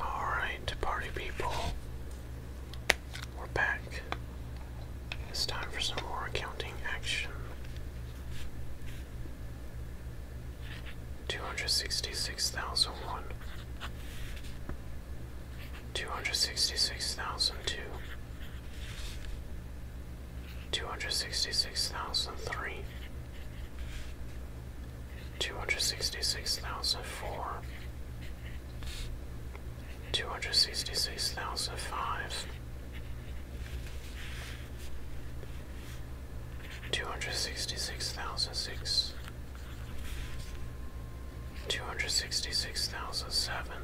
Alright, party people. We're back. It's time for some more accounting action. 266,001. 266,002 two hundred sixty six thousand three, two hundred sixty six thousand four, two hundred sixty six thousand five, two hundred sixty six thousand six, two hundred sixty six thousand seven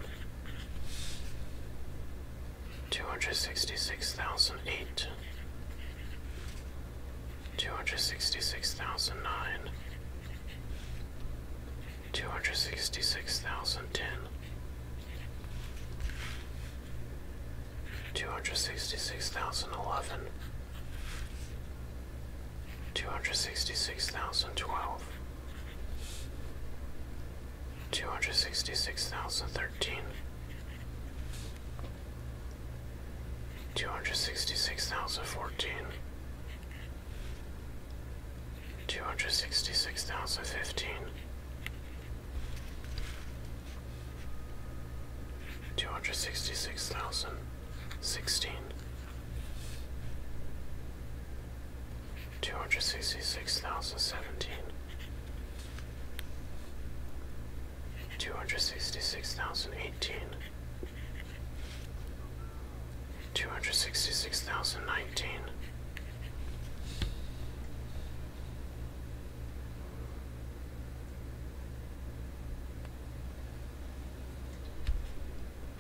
two hundred sixty six thousand eight, two hundred sixty six thousand nine, two hundred sixty six thousand ten, two hundred sixty six thousand eleven, two hundred sixty six thousand twelve. Two hundred sixty six thousand thirteen, Two hundred sixty-six thousand fourteen. Two hundred sixty-six thousand fifteen. Two hundred sixty-six thousand sixteen. Two hundred sixty-six thousand seventeen. Two hundred sixty-six thousand eighteen. Two hundred sixty-six thousand nineteen.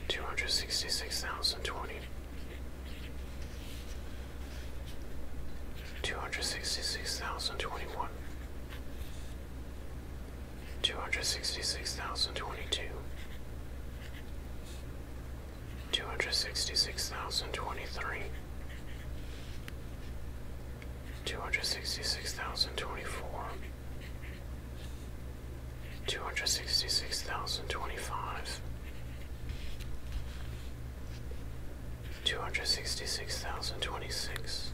Two hundred sixty-six thousand twenty two hundred sixty six thousand twenty one, two hundred sixty six thousand twenty two, two hundred sixty six thousand twenty three, two hundred sixty six thousand twenty four. Two hundred sixty six thousand twenty five, two hundred sixty six thousand twenty six,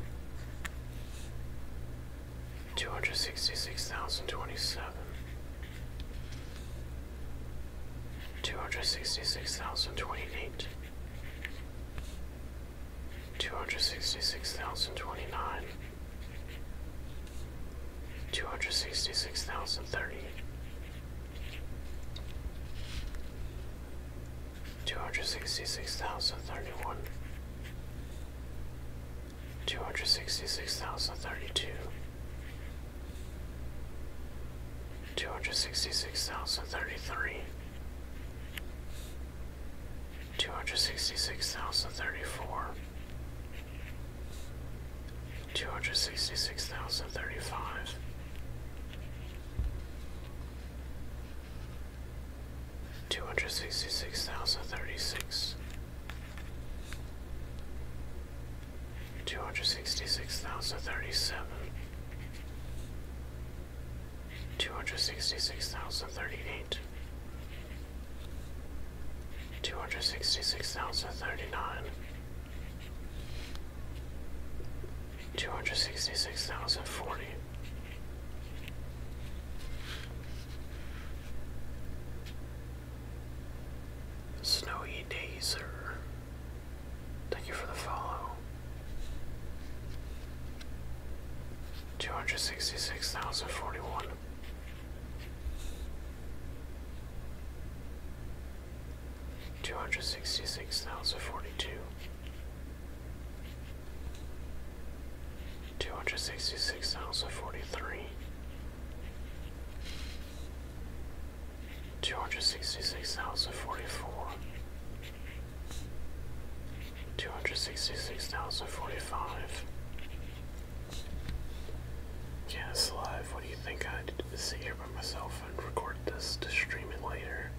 two hundred sixty six thousand twenty seven, two hundred sixty six thousand twenty eight, two hundred sixty six thousand twenty nine. Two hundred sixty six thousand thirty, two hundred sixty six thousand thirty one, two hundred sixty six thousand thirty two, two hundred sixty six thousand thirty three, two hundred sixty six thousand thirty four. Two hundred sixty six thousand thirty five, Two hundred sixty six thousand thirty six, two hundred sixty six thousand thirty seven, two hundred sixty six thousand thirty eight, two hundred sixty six thousand thirty nine, Two hundred sixty six thousand forty. Snowy Dazer. Thank you for the follow. Two hundred sixty six thousand forty one. Two hundred sixty six thousand forty two. Two hundred sixty six thousand forty three, two hundred sixty six thousand forty four, two hundred sixty six thousand forty five. Yes, live. What do you think I'd sit here by myself and record this to stream later?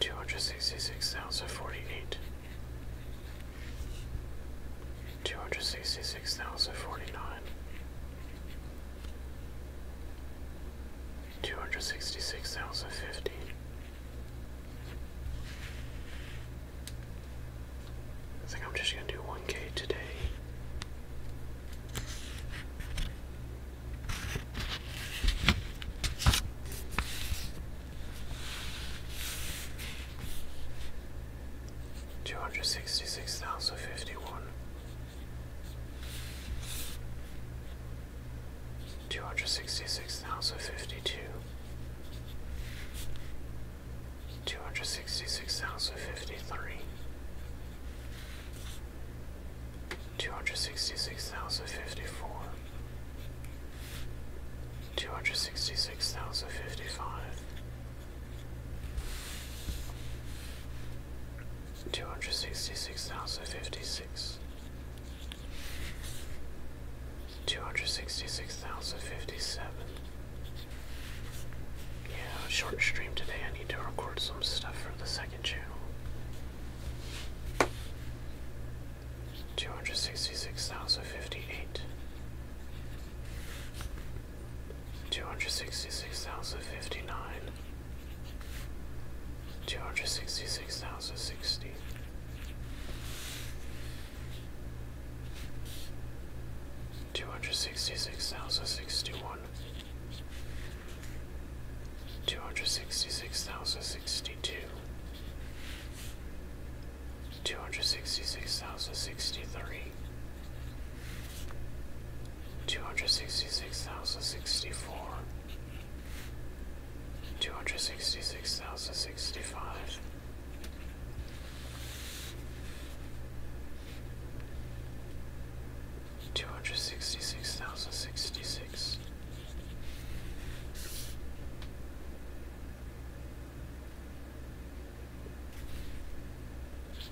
Two hundred sixty six thousand forty eight, two hundred sixty six thousand forty nine, two hundred sixty six thousand fifty. I think I'm just gonna do one K today. Two hundred sixty six thousand fifty one, two hundred sixty six thousand fifty two, two hundred sixty six thousand fifty three two hundred sixty six thousand fifty four, two hundred sixty six thousand fifty five, two hundred sixty six thousand fifty six, two hundred sixty six thousand fifty seven. Yeah, short stream today. I need to record some stuff for the second 266,058 266,059 266,060 266,061 two hundred sixty six thousand sixty two, two hundred sixty six thousand sixty three, two hundred sixty six thousand sixty four, two hundred sixty six thousand sixty five. Two hundred sixty six thousand sixty six,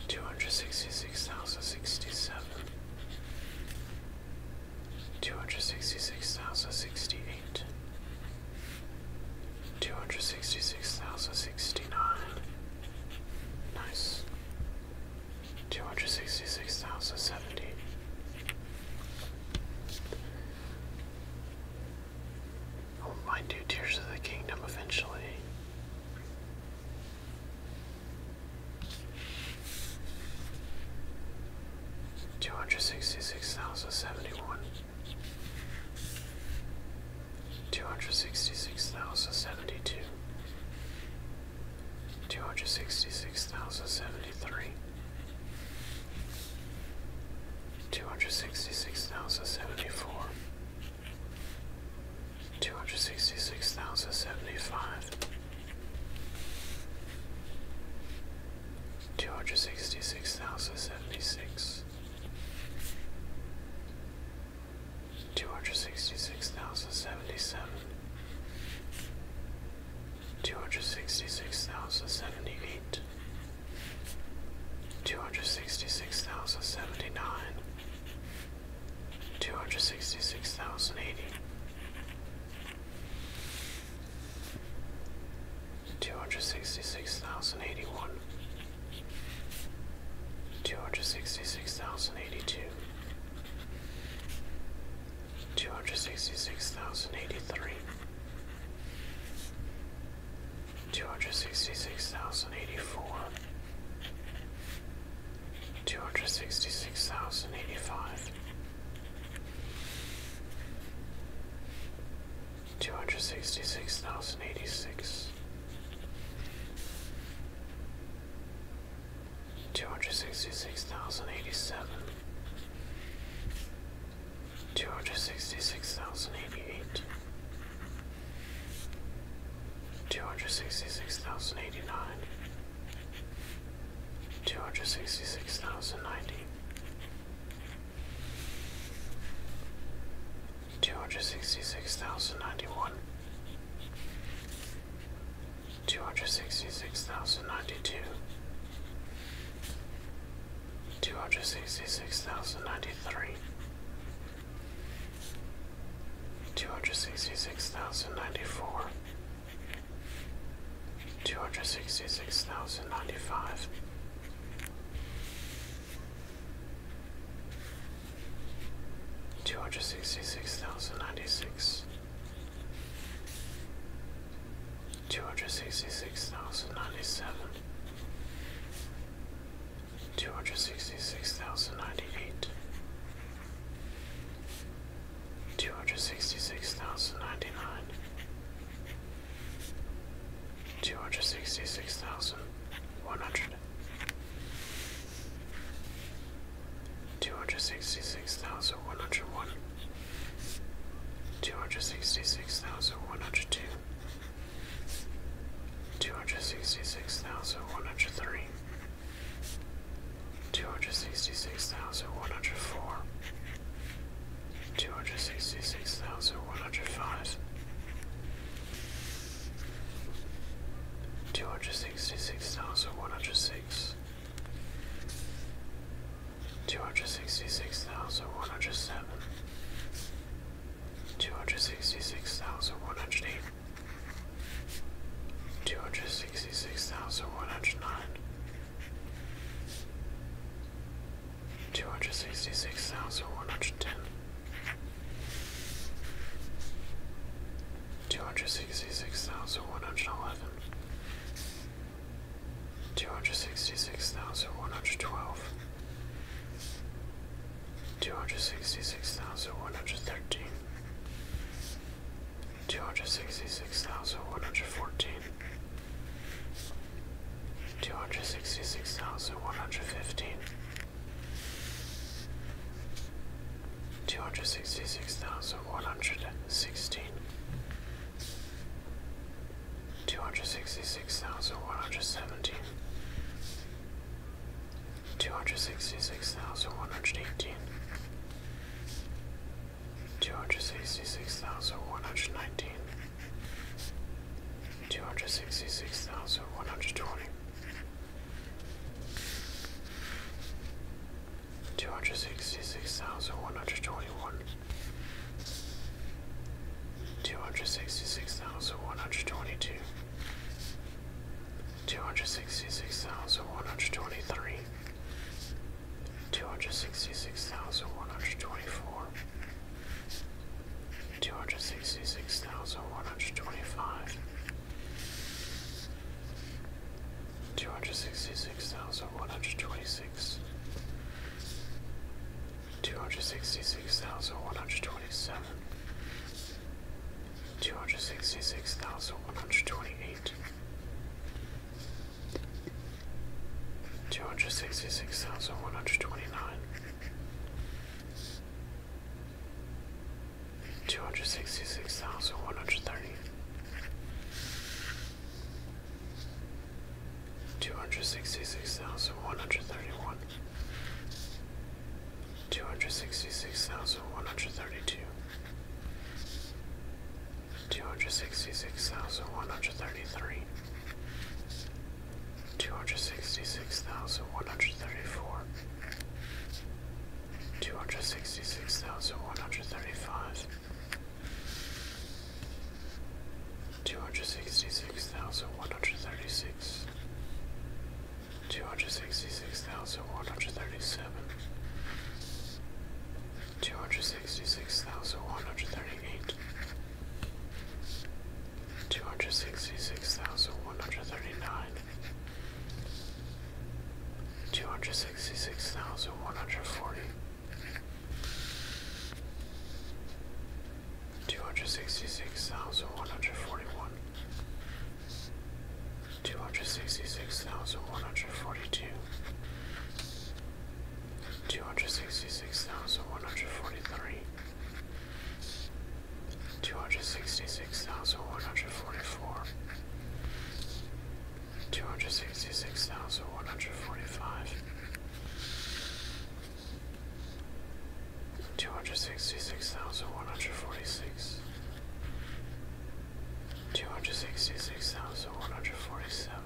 Two hundred sixty six thousand sixty seven, two hundred sixty six thousand sixty eight, two hundred sixty six thousand sixty nine. Nice. Two hundred sixty six thousand seventy, I'll mind you Tears of the Kingdom eventually. Two hundred sixty six thousand seventy one, two hundred sixty six thousand seventy two, two hundred sixty six thousand seventy three, two hundred sixty six thousand seventy four, two hundred sixty six thousand seventy five. 266,076 266,077 two hundred sixty six thousand seventy eight, two hundred sixty six thousand seventy nine, two hundred sixty six thousand eighty, two hundred sixty six thousand eighty one. Two hundred sixty six thousand eighty two, two hundred sixty six thousand eighty three, two hundred sixty six thousand eighty four, two hundred sixty six thousand eighty five. Two hundred sixty six thousand eighty six, two hundred sixty six thousand eighty seven, two hundred sixty six thousand eighty eight, two hundred sixty six thousand eighty nine, two hundred sixty six thousand ninety. 266,091 two hundred sixty six thousand ninety two, two hundred sixty six thousand ninety three, two hundred sixty six thousand ninety four, two hundred sixty six thousand ninety five. Two hundred sixty six thousand ninety six, two hundred sixty six thousand ninety seven, two hundred sixty six thousand ninety eight, two hundred sixty six thousand ninety nine, two hundred sixty six thousand one hundred. Two hundred sixty six thousand one hundred one, two hundred sixty six thousand one hundred two, two hundred sixty six thousand one hundred three, two hundred sixty six thousand one hundred four, two hundred sixty six thousand one hundred five. 266,106 two hundred sixty six thousand one hundred seven, two hundred sixty six thousand one hundred eight, two hundred sixty six thousand one hundred nine, two hundred sixty six thousand one hundred ten. 266,111 Two hundred sixty-six thousand one hundred twelve. Two hundred sixty-six thousand one hundred thirteen. Two hundred sixty-six thousand one hundred fourteen. Two hundred sixty-six thousand one hundred fifteen. thousand one hundred fourteen, two hundred sixty six thousand one hundred fifteen. Two hundred sixty six thousand one hundred sixteen, Two hundred sixty-six thousand one hundred eighteen. Two hundred sixty-six thousand one hundred nineteen. Two hundred sixty-six thousand one hundred twenty two hundred sixty six thousand one hundred twenty one, two hundred sixty six thousand one hundred twenty two, two hundred sixty six thousand one hundred twenty three, two hundred sixty six thousand one hundred twenty four. Two hundred sixty six thousand one hundred twenty five, two hundred sixty six thousand one hundred twenty six, two hundred sixty six thousand one hundred twenty seven, two hundred sixty six thousand one hundred twenty eight. 266,129 266,130 two hundred sixty six thousand one hundred thirty one, two hundred sixty six thousand one hundred thirty two, two hundred sixty six thousand one hundred thirty three, two hundred sixty six thousand one hundred thirty four. Two hundred sixty six thousand one hundred thirty five, Two hundred sixty six thousand one hundred thirty six, two hundred sixty six thousand one hundred thirty seven, two hundred sixty six thousand one hundred thirty eight, two hundred sixty six thousand one hundred thirty nine, two hundred sixty six thousand one hundred forty. Two hundred sixty six thousand one hundred forty one, two hundred sixty six thousand one hundred forty two, two hundred sixty six thousand one hundred forty three, two hundred sixty six thousand one hundred forty four, two hundred sixty six thousand one hundred forty five, two hundred sixty six thousand one hundred forty six, two hundred sixty six thousand one hundred forty seven.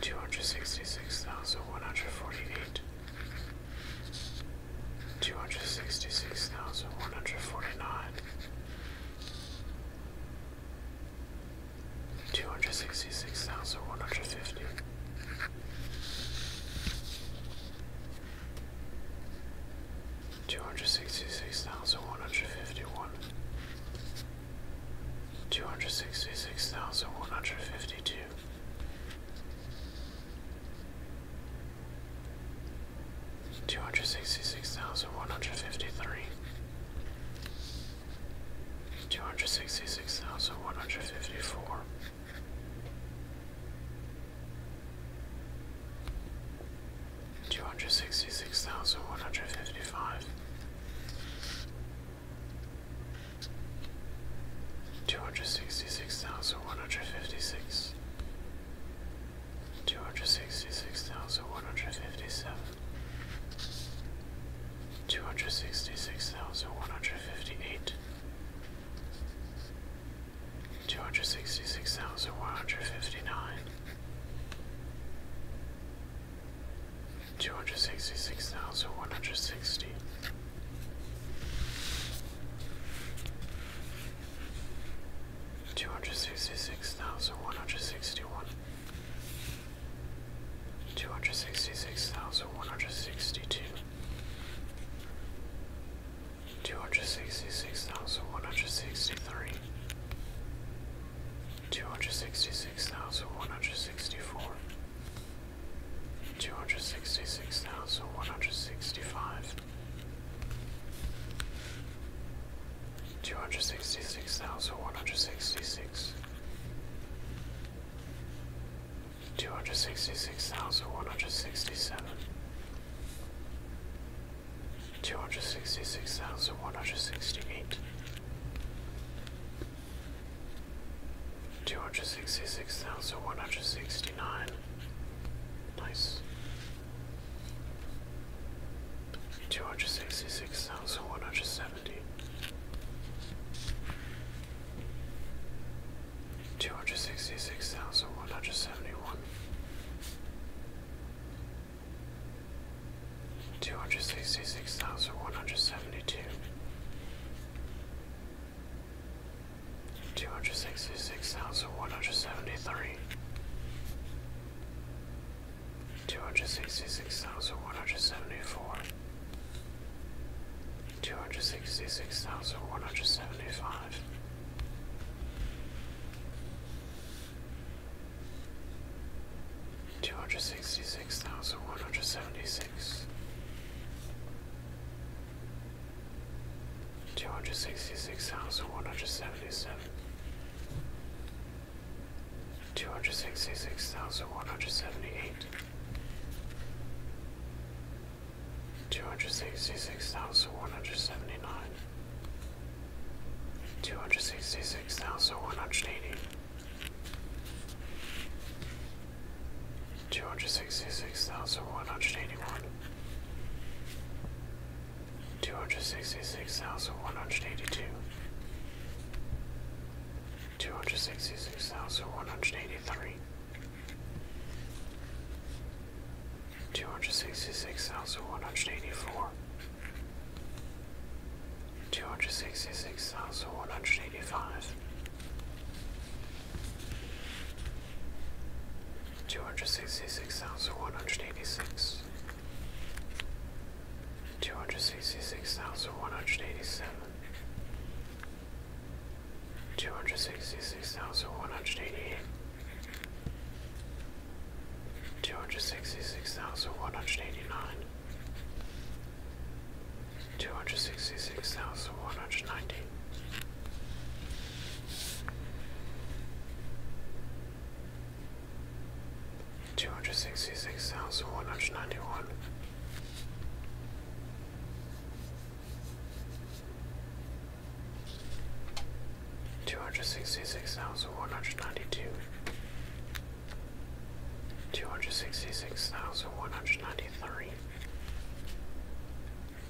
Two hundred sixty six thousand one hundred forty eight, two hundred sixty six thousand one hundred forty nine, two hundred sixty six thousand one hundred fifty. Two hundred sixty six thousand one hundred fifty one, two hundred sixty six thousand one hundred fifty two, two hundred sixty six thousand one hundred fifty three, two hundred sixty six thousand one hundred fifty four. Two hundred sixty six thousand one hundred fifty five, two hundred sixty six thousand one hundred fifty six, two hundred sixty six thousand one hundred fifty seven, two hundred sixty six thousand one hundred fifty eight, two hundred sixty six thousand one hundred fifty nine. Two hundred sixty six thousand one Two hundred sixty-six thousand one hundred sixty. Two hundred sixty-six thousand one hundred sixty-one two hundred sixty six thousand one hundred sixty two, two hundred sixty six thousand one hundred sixty three, two hundred sixty six thousand one hundred sixty four, two hundred sixty six thousand one hundred sixty five two hundred sixty six thousand one hundred sixty six, two hundred sixty six thousand one hundred sixty seven, two hundred sixty six thousand one hundred sixty eight. 266,169. Nice two hundred sixty six thousand one hundred seventy. Two hundred sixty six thousand one hundred seventy one, two hundred sixty six thousand one hundred seventy two, two hundred sixty six thousand one hundred seventy three, two hundred sixty six thousand one hundred seventy four, two hundred sixty six thousand one hundred seventy five. Two hundred sixty six thousand one hundred seventy six, two hundred sixty six thousand one hundred seventy seven, two hundred sixty six thousand one hundred seventy eight, two hundred sixty six thousand one hundred seventy nine, two hundred sixty six thousand one hundred eighty. 266,181 two hundred sixty six thousand one hundred eighty two, two hundred sixty six thousand one hundred eighty three, two hundred sixty six thousand one hundred eighty four, two hundred sixty six thousand one hundred eighty five. Two hundred sixty six thousand one hundred eighty six, 266,187 266,188 266,189 266,190 Two hundred sixty six thousand one hundred ninety one, two hundred sixty six thousand one hundred ninety two, two hundred sixty six thousand one hundred ninety three,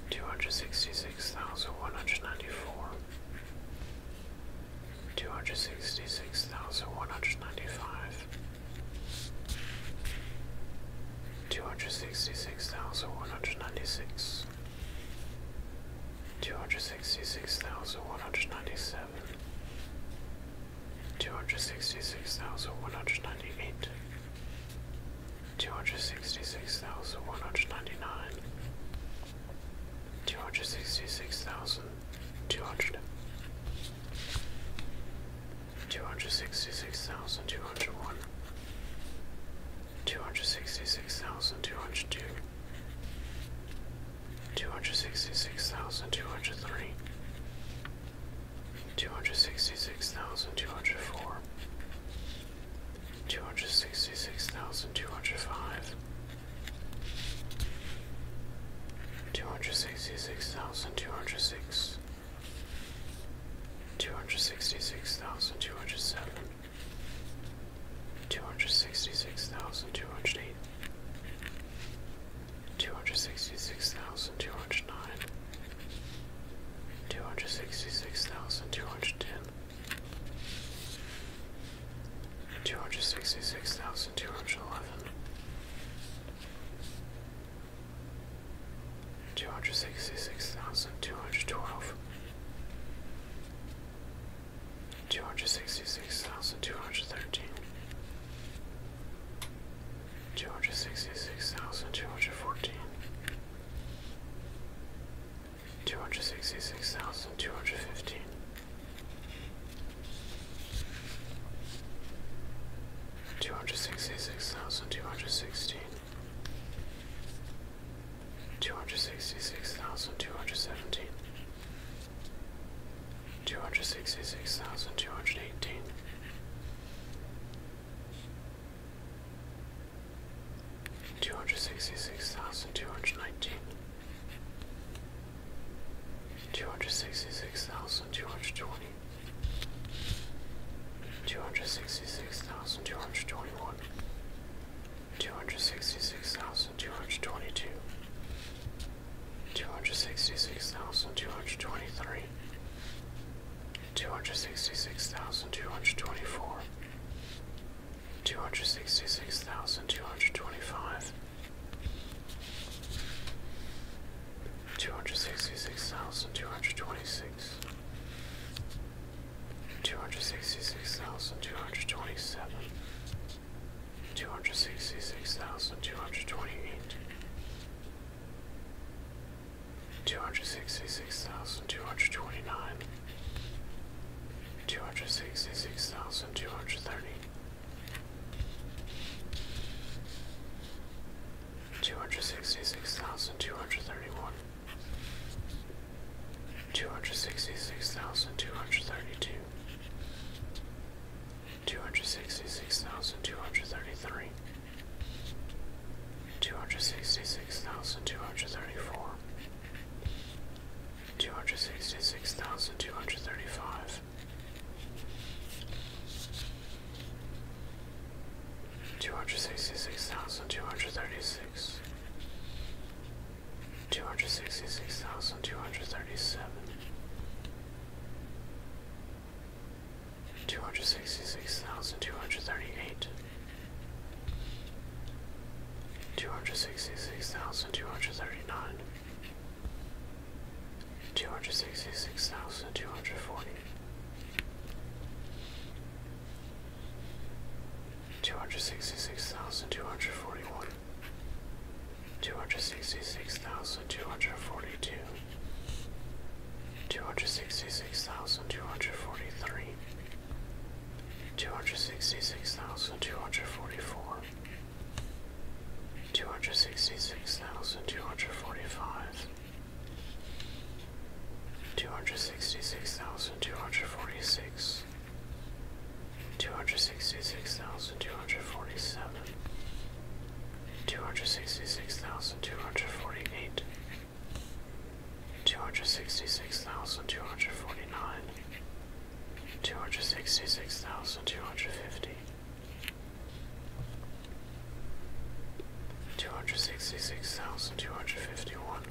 two hundred sixty six thousand one hundred ninety four two hundred sixty six thousand one hundred ninety five, two hundred sixty six thousand one hundred ninety six, two hundred sixty six thousand one hundred ninety seven, two hundred sixty six thousand one hundred ninety eight. Two hundred sixty six thousand one hundred ninety nine, Two hundred sixty six thousand two hundred two hundred sixty six thousand two hundred one two hundred sixty six thousand two hundred two two hundred sixty six thousand two hundred three two hundred sixty six thousand two hundred four Two hundred sixty six thousand two hundred five, Two hundred sixty six thousand two hundred six, two hundred sixty six thousand two hundred seven, two hundred sixty six thousand two hundred eight, two hundred sixty six thousand two hundred nine, two hundred sixty six thousand two hundred ten. Two hundred sixty-six thousand two hundred eleven. Two hundred sixty-six thousand two hundred twelve. Two hundred sixty-six thousand two hundred thirteen. Two hundred sixty-six thousand two hundred fourteen. thousand two hundred thirteen, two hundred sixty six thousand two hundred fourteen. Two hundred sixty six thousand two hundred fifteen, Two hundred sixty-six thousand two hundred sixteen. Two hundred sixty-six thousand two hundred seventeen. Two hundred sixty-six thousand two hundred eighteen. Two hundred sixty-six thousand two hundred nineteen. Two hundred sixty-six thousand two hundred twenty. Two hundred sixty-six thousand two hundred twenty-one. sixty six thousand two hundred twenty one, two hundred sixty six thousand two hundred twenty two, two hundred sixty six thousand two hundred twenty three, two hundred sixty six thousand two hundred twenty four. Two hundred sixty six thousand two hundred twenty five, Two hundred sixty six thousand two hundred twenty six, two hundred sixty six thousand two hundred twenty seven, two hundred sixty six thousand two hundred twenty eight, two hundred sixty six thousand two hundred twenty nine, two hundred sixty six thousand two hundred thirty. 266230 Two hundred sixty six thousand two hundred thirty one, two hundred sixty six thousand two hundred thirty two, two hundred sixty six thousand two hundred thirty three, two hundred sixty six thousand two hundred thirty four, two hundred sixty six thousand two hundred thirty five. Two hundred sixty six thousand two hundred thirty six, two hundred sixty six thousand two hundred thirty seven, two hundred sixty six thousand two hundred thirty eight, two hundred sixty six thousand two hundred thirty nine two hundred sixty six thousand two hundred forty two hundred sixty six thousand two hundred forty one two hundred sixty six thousand two hundred forty two Two hundred sixty six thousand two hundred forty three, two hundred sixty six thousand two hundred forty four, two hundred sixty six thousand two hundred forty five, two hundred sixty six thousand two hundred forty six, two hundred sixty six thousand two hundred forty seven, two hundred sixty six thousand two hundred forty eight. Two hundred sixty six thousand two hundred forty nine, two hundred sixty six thousand two hundred fifty two hundred sixty six thousand two hundred fifty one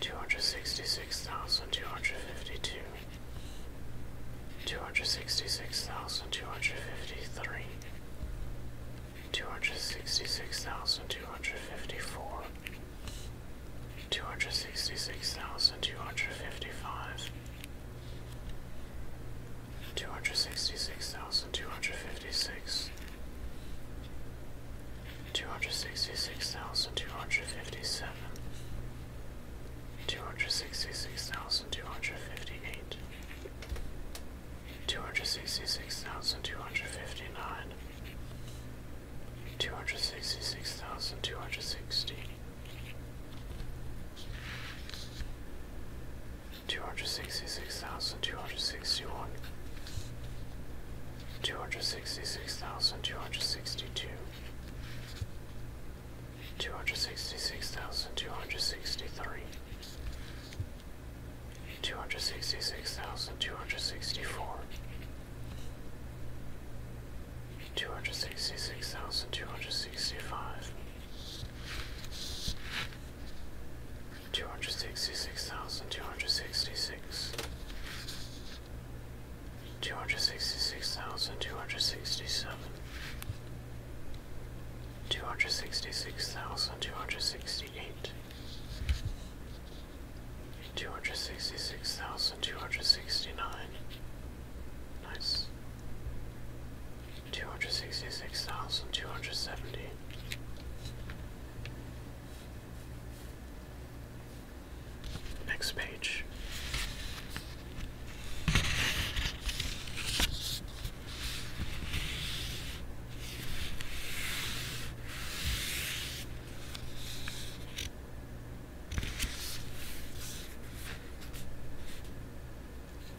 two hundred sixty six thousand two hundred fifty two Two hundred sixty six thousand two hundred fifty three, two hundred sixty six thousand two hundred fifty four, two hundred sixty six thousand two hundred fifty five, two hundred sixty six thousand two hundred fifty six, two hundred sixty six thousand two hundred fifty seven, two hundred sixty six thousand two hundred fifty eight. Two hundred sixty six thousand two hundred fifty nine, two hundred sixty six thousand two hundred sixty, Two hundred sixty six thousand two hundred sixty one, two hundred sixty six thousand two hundred sixty two, two hundred sixty six thousand two hundred sixty three, two hundred sixty six thousand two hundred sixty four, two hundred sixty six thousand two hundred sixty five, two hundred sixty six thousand two hundred sixty six, two hundred sixty six thousand two hundred sixty seven, two hundred sixty six thousand two hundred sixty eight. Two hundred sixty six thousand two hundred sixty nine, Nice. Two hundred sixty six thousand two hundred seventy. Next page.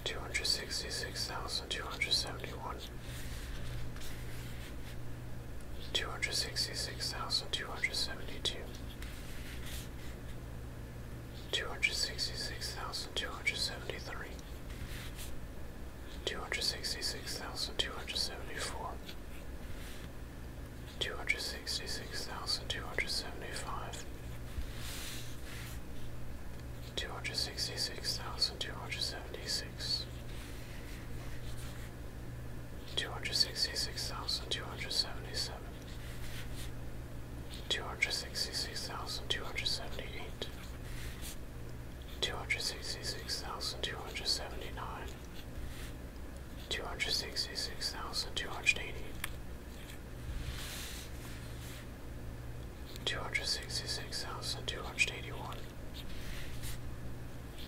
Two hundred sixty six thousand two hundred seventy one, two hundred sixty six thousand two hundred seventy two, two hundred sixty six thousand two hundred seventy three, two hundred sixty six thousand two hundred seventy four. 266274 two hundred sixty six thousand two hundred seventy five, two hundred sixty six thousand two hundred seventy six, two hundred sixty six thousand two hundred seventy seven. Two hundred sixty six thousand two hundred seventy eight, two hundred sixty six thousand two hundred seventy nine, two hundred sixty six thousand two hundred eighty, Two hundred sixty six thousand two hundred eighty one,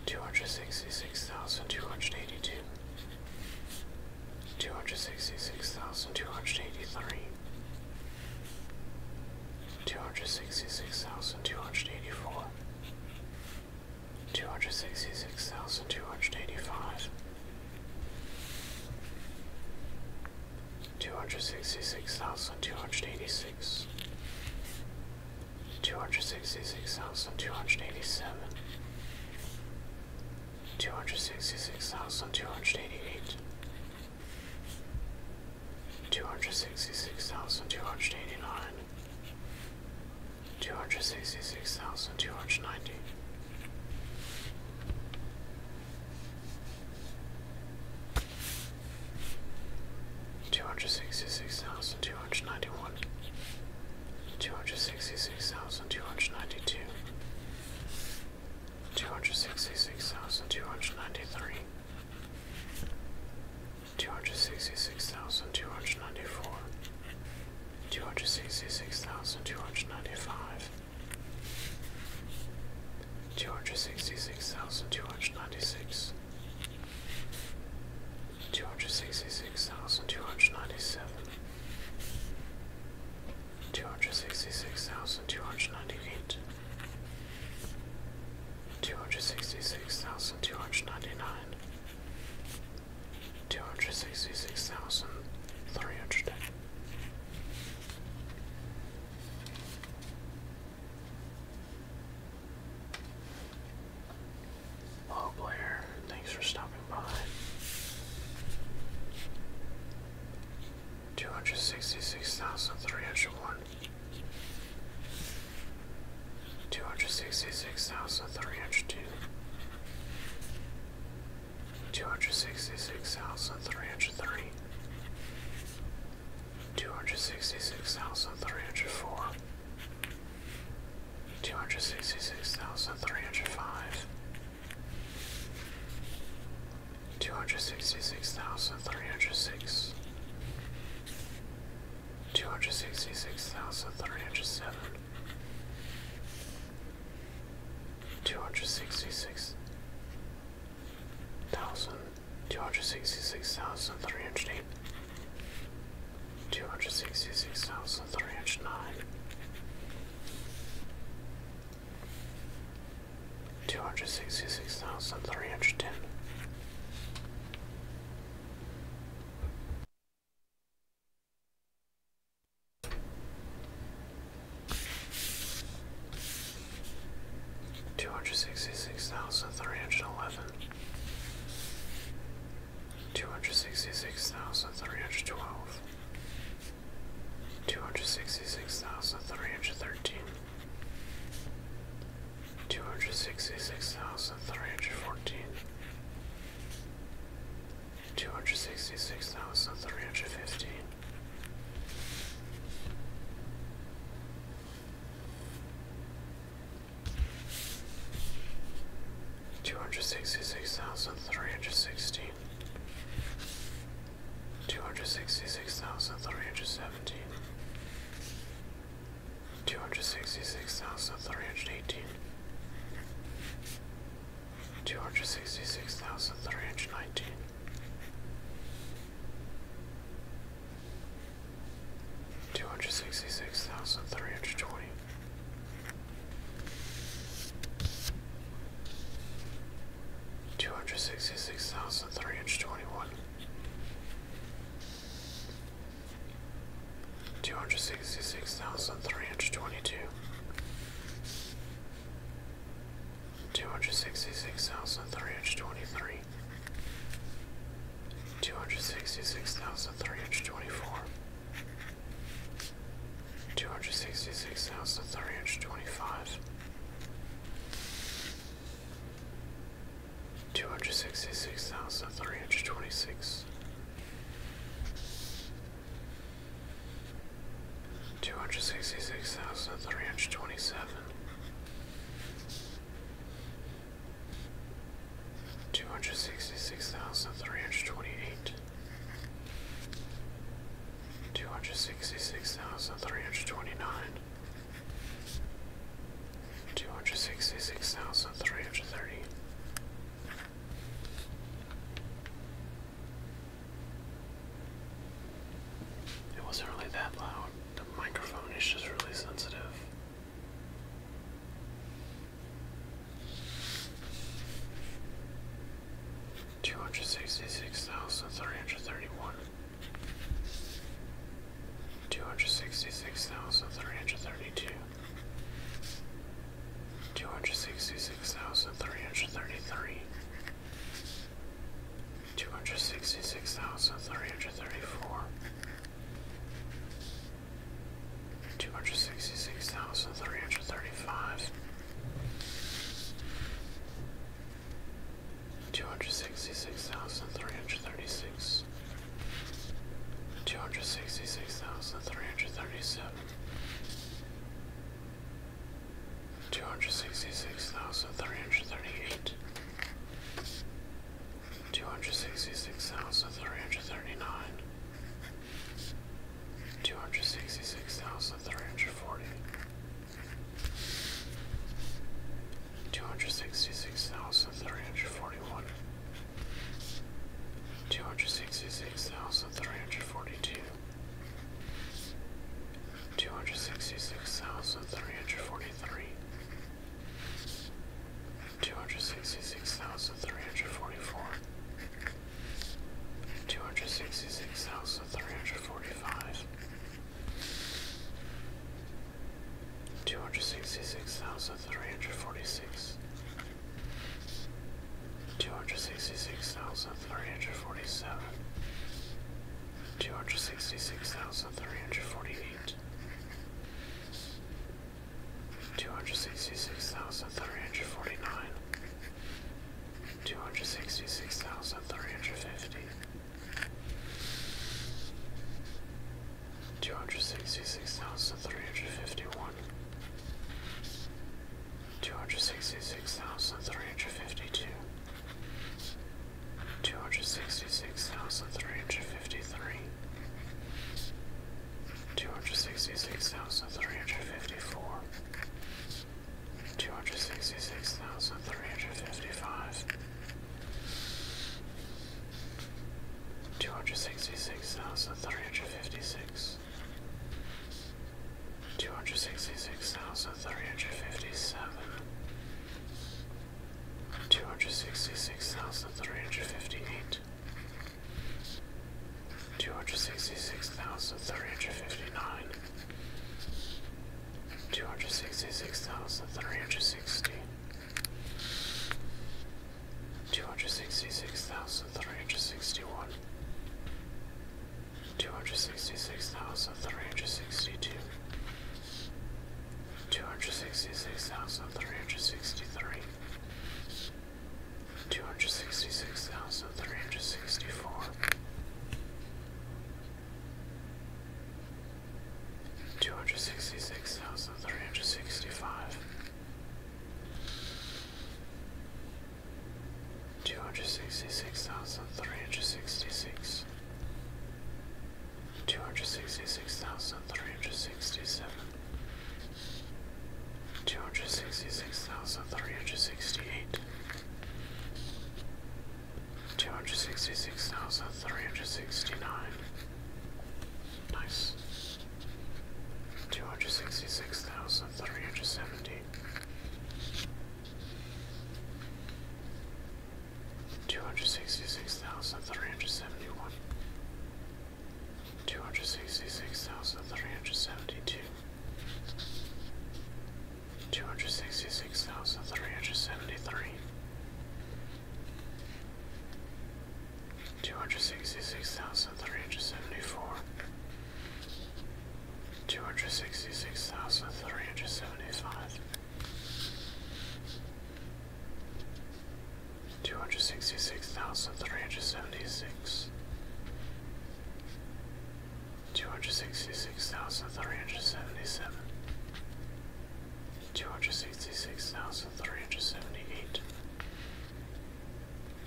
two hundred sixty six thousand two hundred eighty two, two hundred sixty six thousand two hundred eighty three, two hundred sixty six thousand two hundred eighty four, two hundred sixty six thousand two hundred eighty five, two hundred sixty six thousand two hundred eighty six, two hundred sixty six thousand two hundred eighty seven, two hundred sixty six thousand two hundred eighty eight. Two hundred sixty six thousand two hundred eighty nine, two hundred sixty six thousand two hundred ninety. Two hundred sixty six thousand two hundred ninety one, two hundred sixty six thousand two hundred ninety two, two hundred sixty six thousand two hundred ninety three, two hundred sixty six thousand two hundred ninety four, two hundred sixty six thousand two hundred ninety five, two hundred sixty six thousand two hundred ninety six, two hundred sixty six thousand two hundred ninety seven, two hundred sixty six thousand two hundred ninety eight. Two hundred sixty six thousand two hundred ninety nine, two hundred sixty six thousand three hundred. Hello player, thanks for stopping by. Two hundred sixty six thousand three hundred one. Two hundred sixty six thousand three hundred two two hundred sixty six thousand three hundred three, two hundred sixty six thousand three hundred four, two hundred sixty six thousand three hundred five, two hundred sixty six thousand three hundred six. Two hundred sixty six thousand three hundred seven, two hundred sixty six thousand two hundred sixty six thousand three hundred eight two hundred sixty six thousand three hundred nine two hundred sixty six thousand three hundred ten Two hundred sixty-six thousand three hundred eleven. Two hundred sixty-six thousand three hundred twelve. Two hundred sixty-six thousand three hundred thirteen. Two hundred sixty-six thousand three hundred fourteen two hundred sixty six thousand three hundred fifteen. Two hundred sixty six thousand three hundred sixteen, two hundred sixty six thousand three hundred seventeen, two hundred sixty six thousand three hundred eighteen, two hundred sixty six thousand three hundred nineteen. Two hundred sixty Two hundred sixty-six thousand three hundred twenty. Two hundred sixty-six thousand three hundred twenty-one. hundred twenty one, two hundred sixty six thousand three hundred twenty two, two hundred sixty six thousand three hundred twenty three, two hundred sixty six thousand three hundred twenty four, two hundred sixty six thousand three hundred twenty five. 266,326 Two hundred sixty six thousand three hundred twenty seven, two hundred sixty six thousand three hundred twenty eight, two hundred sixty six thousand three hundred twenty nine, two hundred sixty six thousand three hundred thirty. It wasn't really that loud. The microphone is just really sensitive. Two hundred sixty six thousand three hundred thirty one. Two hundred sixty six thousand three hundred thirty two two hundred sixty six thousand three hundred thirty three, two hundred sixty six thousand three hundred thirty four, two hundred sixty six thousand three hundred thirty five. 266,336 266,337 two hundred sixty six thousand three hundred thirty eight, two hundred sixty six thousand three hundred thirty nine, two hundred sixty six thousand three hundred forty, two hundred sixty six thousand three hundred forty one. Two hundred sixty six thousand three hundred forty two, Two hundred sixty six thousand three hundred forty three, two hundred sixty six thousand three hundred forty four, two hundred sixty six thousand three hundred forty five, two hundred sixty six thousand three hundred forty six, two hundred sixty six thousand three hundred forty seven, two hundred sixty six thousand three hundred forty eight, two hundred sixty six thousand three hundred forty nine, two hundred sixty six thousand three hundred fifty. 266,351 two hundred sixty six thousand three hundred fifty two, two hundred sixty six thousand three hundred fifty three, two hundred sixty six thousand three hundred fifty four, two hundred sixty six thousand three hundred fifty five. 266,356 two hundred sixty six thousand three hundred fifty seven, two hundred sixty six thousand three hundred fifty eight, two hundred sixty six thousand three hundred fifty nine, two hundred sixty six thousand three hundred sixty. Two hundred sixty six thousand three hundred sixty one, two hundred sixty six thousand three hundred sixty two, two hundred sixty six thousand three hundred sixty three, two hundred sixty six thousand three hundred sixty four. 266365 two hundred sixty six thousand three hundred sixty six, two hundred sixty six thousand three hundred sixty seven, two hundred sixty six thousand three hundred sixty eight, two hundred sixty six thousand three hundred sixty nine. Nice. Two hundred sixty six thousand three hundred seventy Two hundred sixty six thousand three hundred seventy one, two hundred sixty six thousand three hundred seventy two, two hundred sixty six thousand three hundred seventy three, two hundred sixty six thousand thousand three hundred seventy four, two hundred sixty six thousand three hundred seventy five, two hundred sixty six thousand three hundred seventy six. Two hundred sixty six thousand three hundred seventy seven, two hundred sixty six thousand three hundred seventy eight,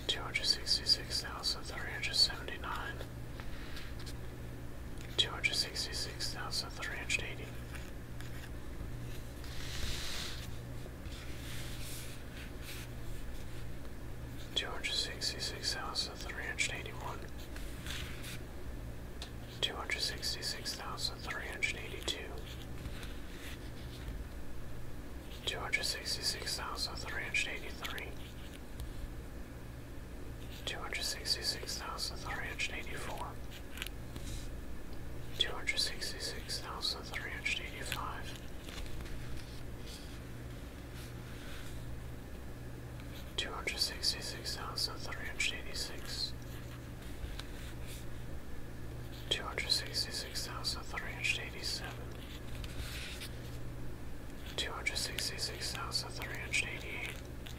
two hundred sixty six thousand three hundred seventy nine, two hundred sixty six thousand three hundred eighty. Two hundred sixty six thousand three hundred eighty one, two hundred sixty six thousand three hundred eighty two, two hundred sixty six thousand three hundred eighty three, Two hundred sixty six thousand three hundred eighty four, two hundred sixty six thousand three hundred eighty five, two hundred sixty six thousand three hundred eighty six, two hundred sixty six thousand three hundred eighty seven. Two hundred sixty six thousand three hundred eighty eight,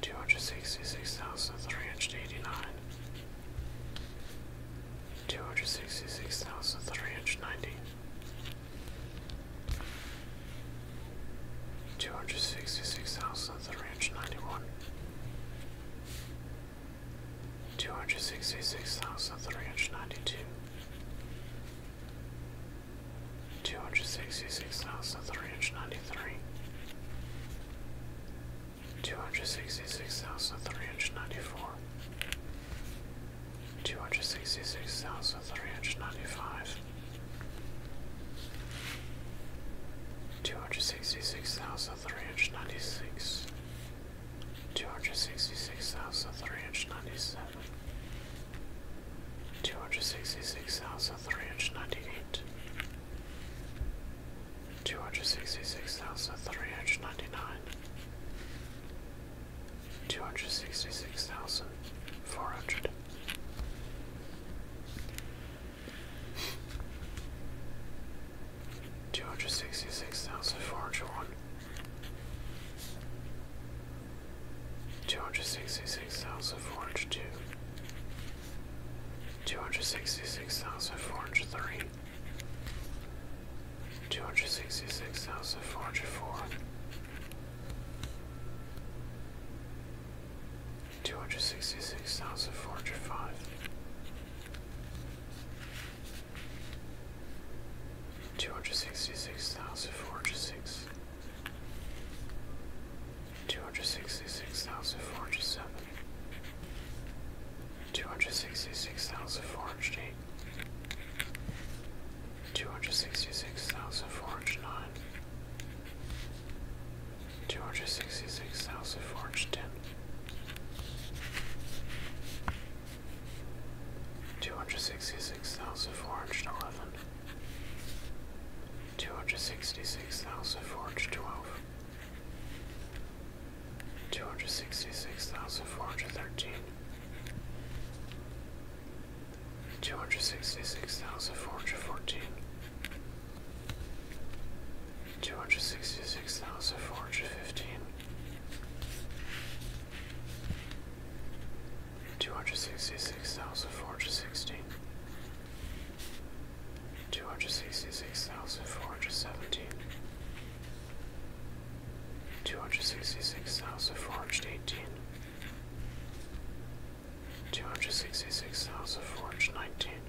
two hundred sixty six thousand three hundred eighty nine, two hundred sixty six thousand three hundred ninety, two hundred sixty six thousand three hundred ninety one. 266,391 266,392 two hundred sixty six thousand three hundred ninety two, two hundred sixty six thousand three hundred ninety three, two hundred sixty six thousand three hundred ninety four, two hundred sixty six thousand three hundred ninety five. Two hundred sixty six thousand three hundred ninety six, two hundred sixty six thousand three hundred ninety seven, two hundred sixty six thousand three hundred ninety eight, two hundred sixty six thousand three hundred ninety nine, two hundred sixty six thousand four hundred two hundred sixty six thousand four hundred one, two hundred sixty six thousand four hundred two, two hundred sixty six thousand four hundred three, two hundred sixty six thousand four hundred four. 266,405 Two hundred sixty six thousand four hundred six, two hundred sixty six thousand four hundred seven, two hundred sixty six thousand four hundred eight, two hundred sixty six thousand four hundred nine, two hundred sixty six thousand four hundred ten. Two hundred sixty-six thousand four hundred twelve. Two hundred sixty-six thousand four hundred thirteen. Two hundred sixty-six thousand four hundred fourteen two hundred sixty six thousand four hundred fifteen, two hundred sixty six thousand four hundred sixteen, two hundred sixty six thousand four hundred seventeen, two hundred sixty six thousand four hundred eighteen. Two hundred sixty six thousand four hundred nineteen,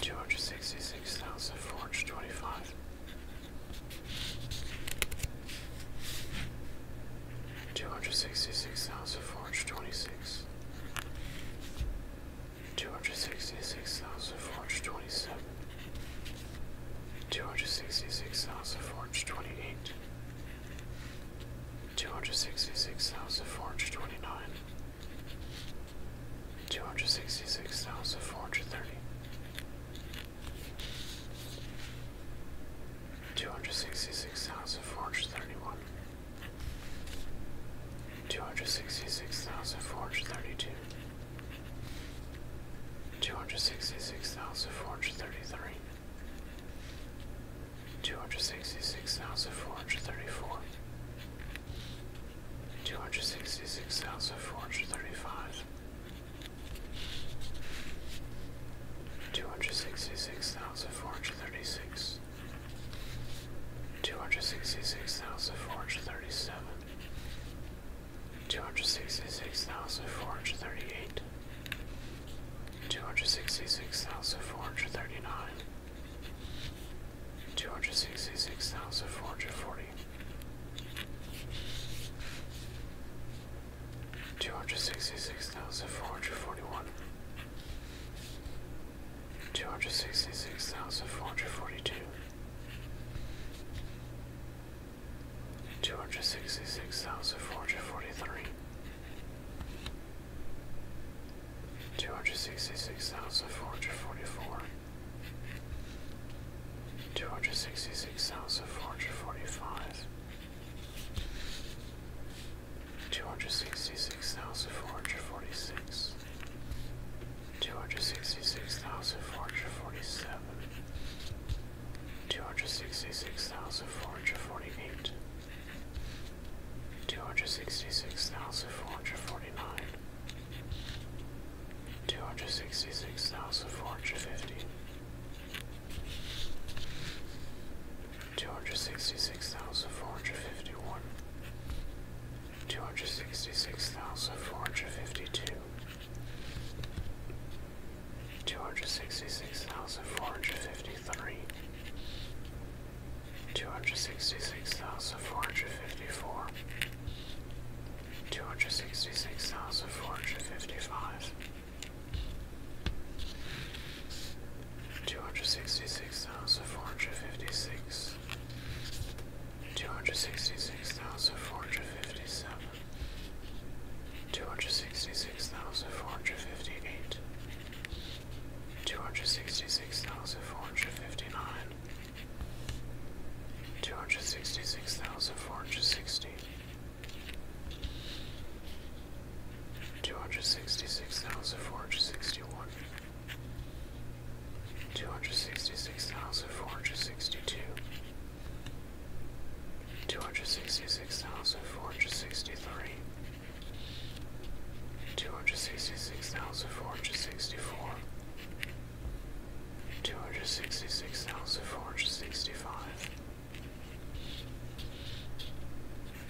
Two hundred sixty-six thousand four hundred twenty-five, two hundred sixty-six thousand four hundred twenty-six, two hundred sixty-six thousand four hundred twenty-seven, two hundred sixty-six thousand four hundred twenty-eight, two hundred sixty-six thousand four hundred twenty-nine. 266,429 Two hundred sixty six thousand four hundred thirty, two hundred sixty six thousand four hundred thirty one, two hundred sixty six thousand four hundred thirty two, two hundred sixty six thousand four hundred thirty three, two hundred sixty six thousand four hundred thirty four two hundred sixty six thousand four hundred thirty five, two hundred sixty six thousand four hundred thirty six, two hundred sixty six thousand four hundred thirty seven, two hundred sixty six thousand four hundred thirty eight. Two hundred sixty six thousand four hundred thirty nine, Two hundred sixty-six thousand four hundred forty. Two hundred sixty-six thousand four hundred forty-one. four hundred forty one, two hundred sixty six thousand four hundred forty two. 266,443 266,444 Two hundred sixty-six thousand four hundred forty-five. Two hundred sixty-six thousand four hundred forty-six. Two hundred sixty-six thousand four hundred forty-seven. Two hundred sixty-six thousand four hundred forty-eight. Two hundred sixty-six thousand four hundred forty-nine. Two hundred sixty six thousand four hundred fifty. Two hundred sixty six thousand four hundred fifty one. Two hundred sixty six thousand four hundred fifty two. Two hundred sixty six thousand four hundred fifty three. Two hundred sixty six thousand four hundred fifty four two hundred sixty six thousand four hundred fifty five, two hundred sixty six thousand four hundred fifty six, two hundred sixty six thousand four hundred fifty seven, two hundred sixty six thousand four hundred fifty eight, two hundred sixty six thousand four hundred fifty nine. Two hundred sixty six thousand four hundred sixty, two hundred sixty six thousand four hundred sixty one, two hundred sixty six thousand four hundred sixty two, two hundred sixty six thousand four hundred sixty three. Two hundred sixty six thousand four hundred sixty four, two hundred sixty six thousand four hundred sixty five,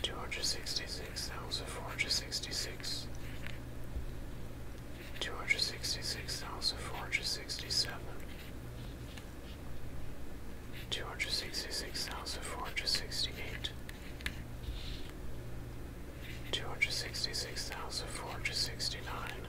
two hundred sixty six thousand four hundred sixty six, two hundred sixty six thousand four hundred sixty seven. Two hundred sixty six thousand four hundred sixty eight, two hundred sixty six thousand four hundred sixty nine,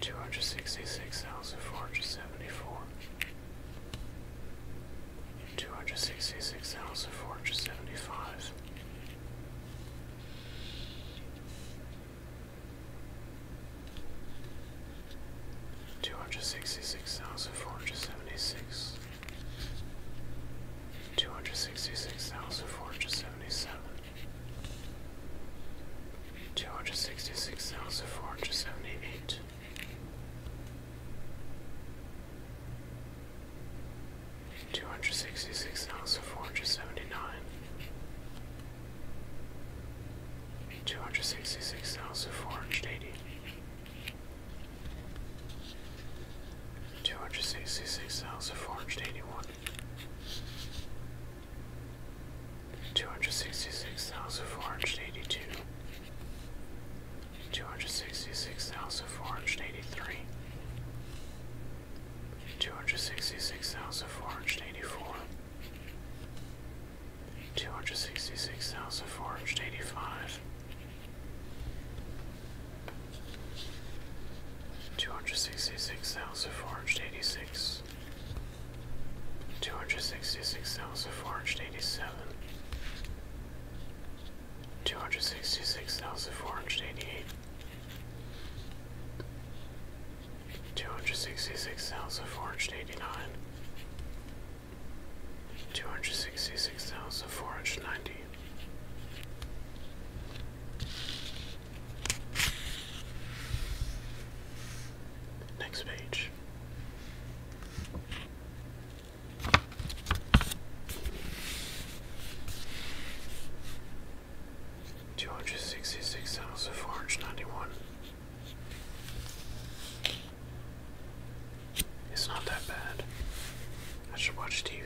two hundred sixty six thousand four hundred seventy four, two hundred sixty six thousand four hundred seventy five. Two hundred sixty six thousand four hundred seventy six, two hundred sixty six thousand four hundred seventy seven, Two hundred sixty six thousand four hundred seventy eight. Two hundred sixty six thousand four hundred seventy nine. Two hundred sixty six thousand four hundred eighty. Two hundred sixty six thousand four hundred eighty one. Two hundred sixty six thousand four hundred eighty two, two hundred sixty six thousand four hundred eighty three, two hundred sixty six thousand four hundred eighty four, two hundred sixty six thousand four hundred eighty five. 266,486 Two hundred sixty-six thousand four hundred eighty-seven, two hundred sixty-six thousand four hundred eighty-eight, two hundred sixty-six thousand four hundred eighty-nine, two hundred sixty-six thousand four hundred ninety. Next page. Two hundred sixty six thousand four hundred ninety one. It's not that bad. I should watch TV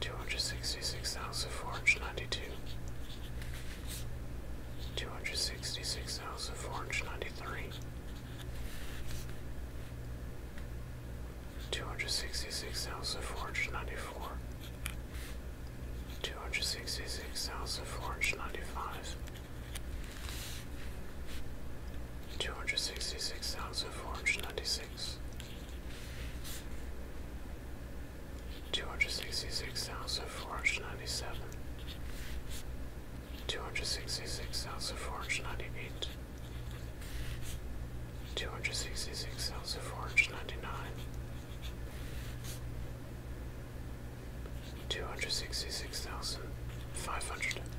two hundred sixty six thousand four hundred ninety two, two hundred sixty six thousand four hundred ninety three, two hundred sixty six thousand four hundred ninety four, two hundred sixty six thousand four hundred ninety five. Two hundred sixty six thousand four hundred ninety six, two hundred sixty six thousand four hundred ninety seven, two hundred sixty six thousand four hundred ninety eight, two hundred sixty six thousand four hundred ninety nine, two hundred sixty six thousand five hundred. 266,500 266,501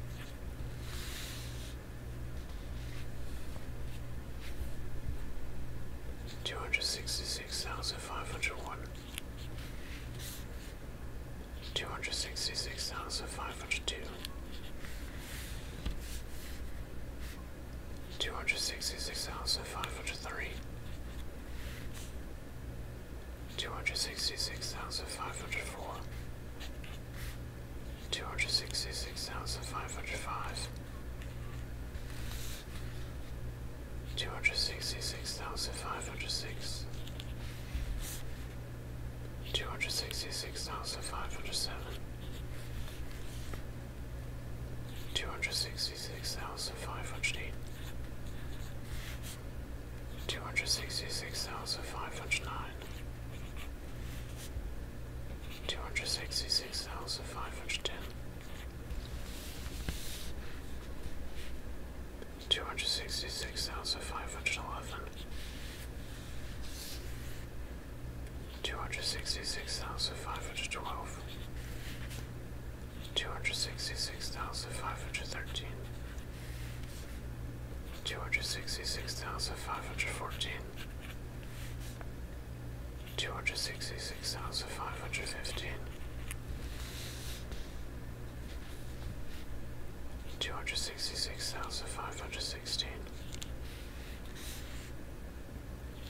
Two hundred sixty six thousand five hundred one, two hundred sixty six thousand five hundred two, two hundred sixty six thousand five hundred three, two hundred sixty six thousand five hundred four, two hundred sixty six thousand five hundred five. Two hundred sixty six thousand five hundred six, two hundred sixty six thousand five hundred seven, two hundred sixty six thousand five hundred eight, two hundred sixty six thousand five hundred nine, two hundred sixty six thousand five hundred ten. Two hundred sixty-six thousand five hundred eleven. Two hundred sixty-six thousand five hundred twelve. Two hundred sixty-six thousand five hundred thirteen. Two hundred sixty-six thousand five hundred fourteen two hundred sixty six thousand five hundred fifteen, two hundred sixty six thousand five hundred sixteen,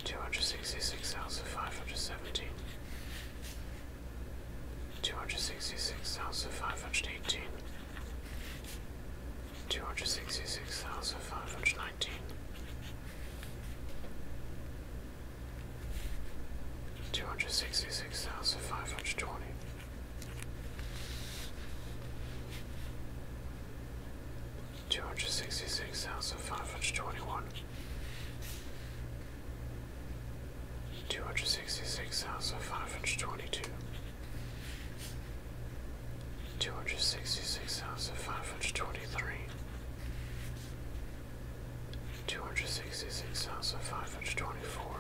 two hundred sixty six thousand five hundred seventeen, two hundred sixty six thousand five hundred eighteen. Two hundred sixty six thousand five hundred watching. Two hundred sixty six thousand five hundred twenty. Two hundred sixty six thousand five hundred twenty one. Two hundred sixty six thousand five hundred twenty two. Two hundred sixty six thousand five hundred twenty three. 266523 two hundred sixty six thousand five hundred twenty four,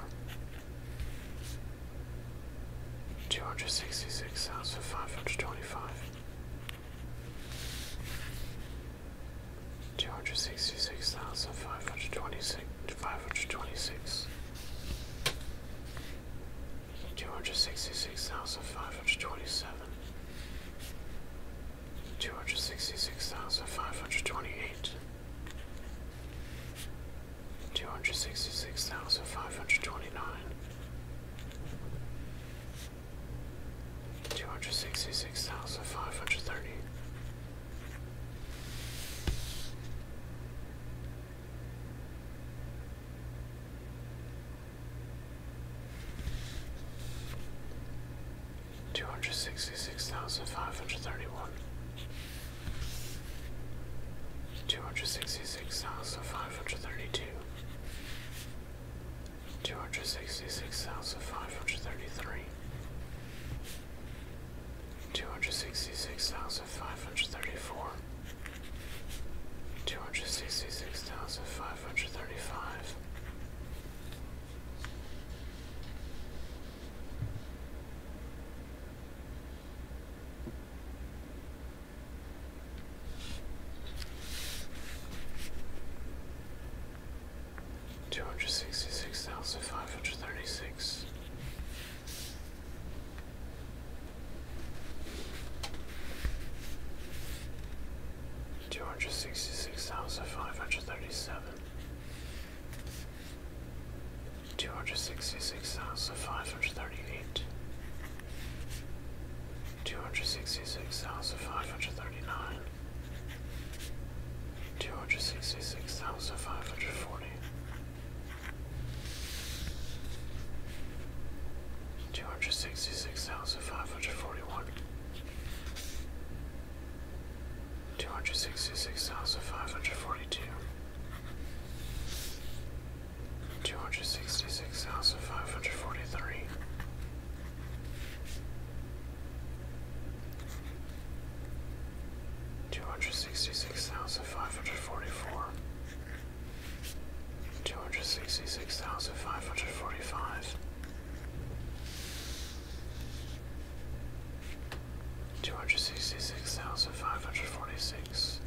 two hundred sixty six thousand five hundred twenty five, two hundred sixty six thousand five hundred twenty six, five hundred twenty six. Two hundred sixty six thousand five hundred twenty seven, Two hundred sixty six thousand five hundred twenty eight, two hundred sixty six thousand five hundred twenty nine, two hundred sixty six thousand five hundred thirty. Two hundred sixty six thousand five hundred thirty one, two hundred sixty six thousand five hundred thirty two, two hundred sixty six thousand five hundred thirty three, two hundred sixty six thousand five hundred thirty four, two hundred sixty six thousand five five hundred thirty five. Two hundred sixty six thousand five hundred thirty six, two hundred sixty six thousand five hundred thirty seven, two hundred sixty six thousand five hundred thirty eight, two hundred sixty six thousand five hundred thirty nine, two hundred sixty six thousand five hundred forty. 266,541 two hundred sixty six thousand five hundred forty one, two hundred sixty six thousand five hundred forty two, two hundred sixty six thousand five hundred forty three. Two hundred sixty six thousand five hundred forty four, two hundred sixty six thousand five hundred forty five, two hundred sixty six thousand five hundred forty six,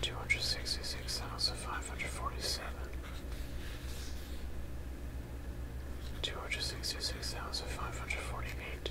two hundred sixty six thousand five hundred forty seven. Two hundred sixty six thousand five hundred forty eight,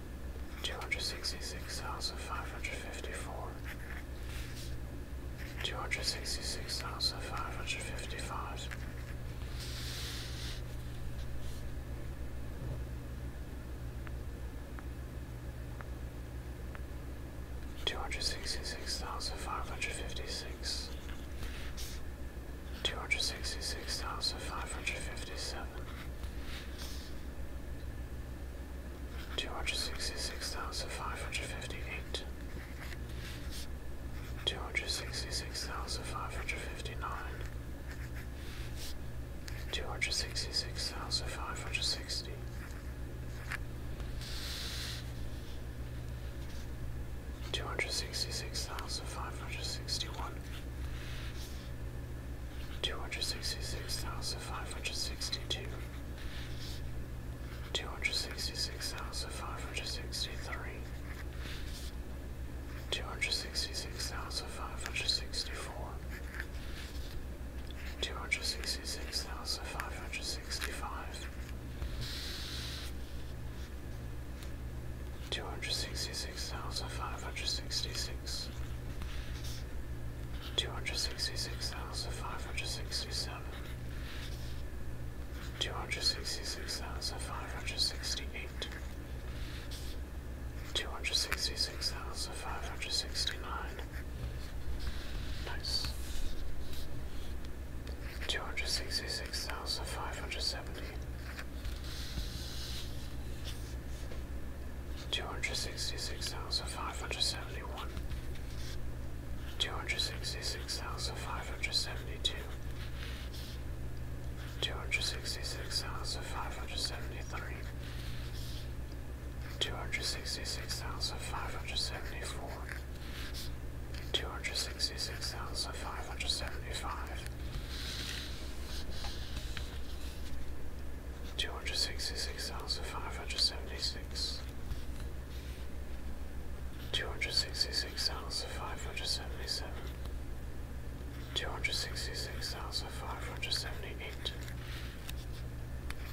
two hundred sixty six thousand five hundred fifty four, two hundred sixty six thousand five hundred fifty five. Two hundred sixty six thousand five hundred fifty six, two hundred sixty six thousand five hundred fifty seven, two hundred sixty six thousand five hundred fifty eight, two hundred sixty six thousand five hundred fifty nine, two hundred sixty six thousand five hundred sixty. Two hundred sixty six thousand five hundred sixty one, two hundred sixty six thousand five hundred sixty two, two hundred sixty six thousand five hundred sixty three, two hundred sixty six thousand five hundred sixty four, two hundred sixty six thousand five hundred sixty five. 266,566 six, two hundred sixty six thousand five hundred sixty seven, two hundred sixty six thousand five hundred sixty eight, two hundred sixty six thousand five hundred sixty nine. Nice. Two hundred sixty six thousand five hundred seventy two hundred sixty six thousand five hundred seventy one, two hundred sixty six thousand five hundred seventy two, two hundred sixty six thousand five hundred seventy three, two hundred sixty six thousand five hundred seventy four. 266,575 two hundred sixty six thousand five hundred seventy six, two hundred sixty six thousand five hundred seventy seven, two hundred sixty six thousand five hundred seventy eight,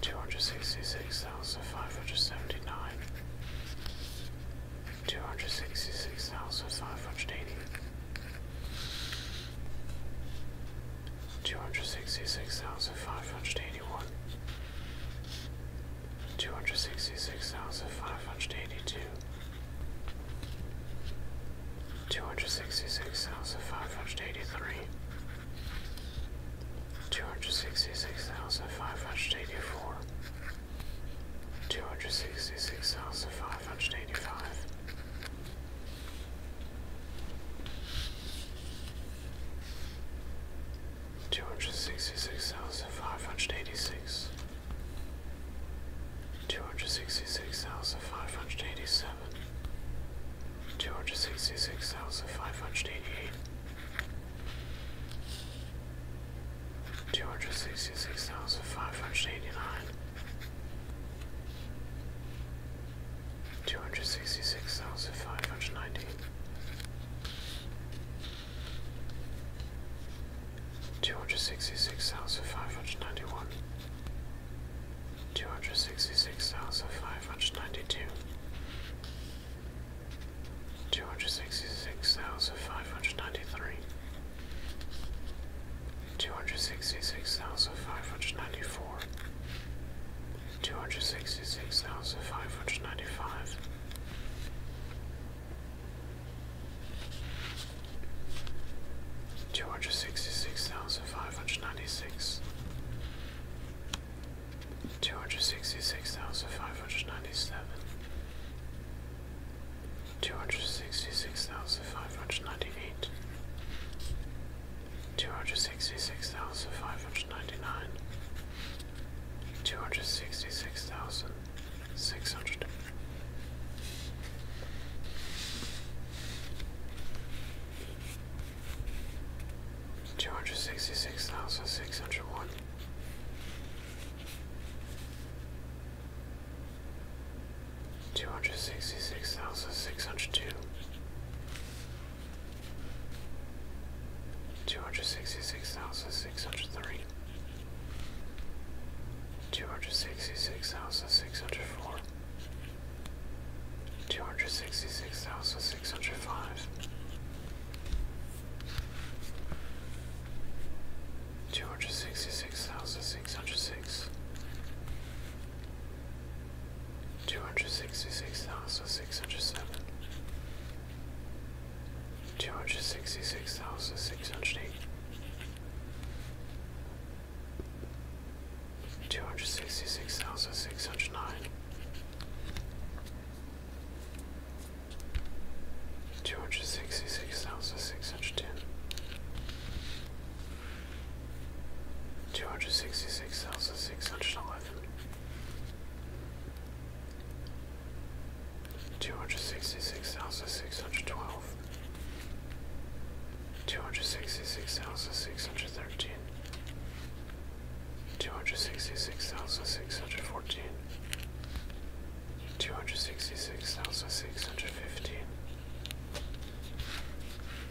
two hundred sixty six thousand five hundred seventy nine, two hundred sixty six thousand five hundred eighty two hundred sixty six thousand five hundred eighty one, two hundred sixty six thousand five hundred eighty two, two hundred sixty six thousand five hundred eighty three, two hundred sixty six thousand five hundred eighty four. Two hundred sixty six thousand five hundred eighty five, Two hundred sixty-six Two hundred sixty-six Two hundred sixty-six of of of five hundred eighty-six. five hundred eighty-seven. five hundred eighty-eight. Two hundred sixty-six two hundred sixty six thousand five hundred eighty seven, of five hundred eighty-nine two hundred sixty six thousand five hundred ninety two hundred sixty six thousand five hundred ninety one two hundred sixty six thousand five hundred ninety two two hundred sixty six thousand five hundred ninety three Two hundred sixty six thousand five hundred ninety four, two hundred sixty six thousand five hundred ninety five. Two hundred sixty six thousand five hundred ninety six, two hundred sixty six thousand five hundred ninety seven, two hundred sixty six thousand five hundred ninety eight, two hundred sixty six thousand five hundred ninety nine, two hundred sixty six thousand six hundred. Two hundred sixty six thousand six hundred one, two hundred sixty six thousand six hundred two, Two hundred sixty six thousand six hundred three, two hundred sixty six thousand six hundred four, two hundred sixty six thousand six hundred five, two hundred sixty six thousand six hundred six, two hundred sixty six thousand six hundred seven, two hundred sixty six thousand six hundred eight, two hundred sixty six thousand six hundred nine. Two hundred sixty six thousand six hundred ten, Two hundred sixty six thousand six hundred eleven, two hundred sixty six thousand six hundred twelve, two hundred sixty six thousand six hundred thirteen, two hundred sixty six thousand six hundred fourteen. Two hundred sixty six thousand six hundred fifteen,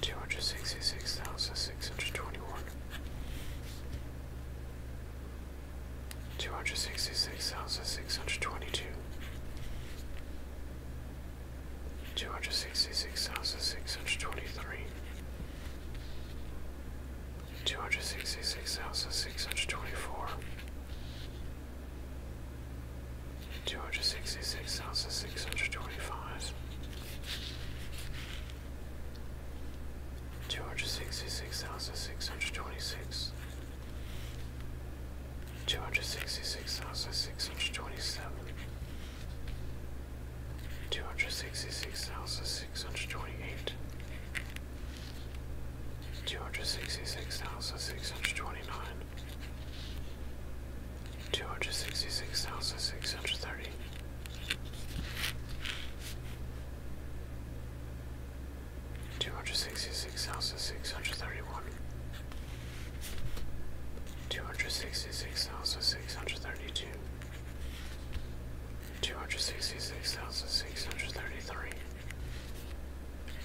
Two hundred sixty six thousand six hundred twenty one, two hundred sixty six thousand six hundred twenty two, two hundred sixty six thousand six hundred twenty three, two hundred sixty six thousand six hundred twenty four. 266,625 Two hundred sixty six thousand six hundred twenty five, two hundred sixty six thousand six hundred twenty six, two hundred sixty six thousand six hundred twenty seven, two hundred sixty six thousand six hundred twenty eight. Two hundred sixty six thousand six hundred twenty nine, two hundred sixty six thousand six hundred thirty. Two hundred sixty six thousand six hundred thirty one, two hundred sixty six thousand six hundred thirty two, two hundred sixty six thousand six hundred thirty three,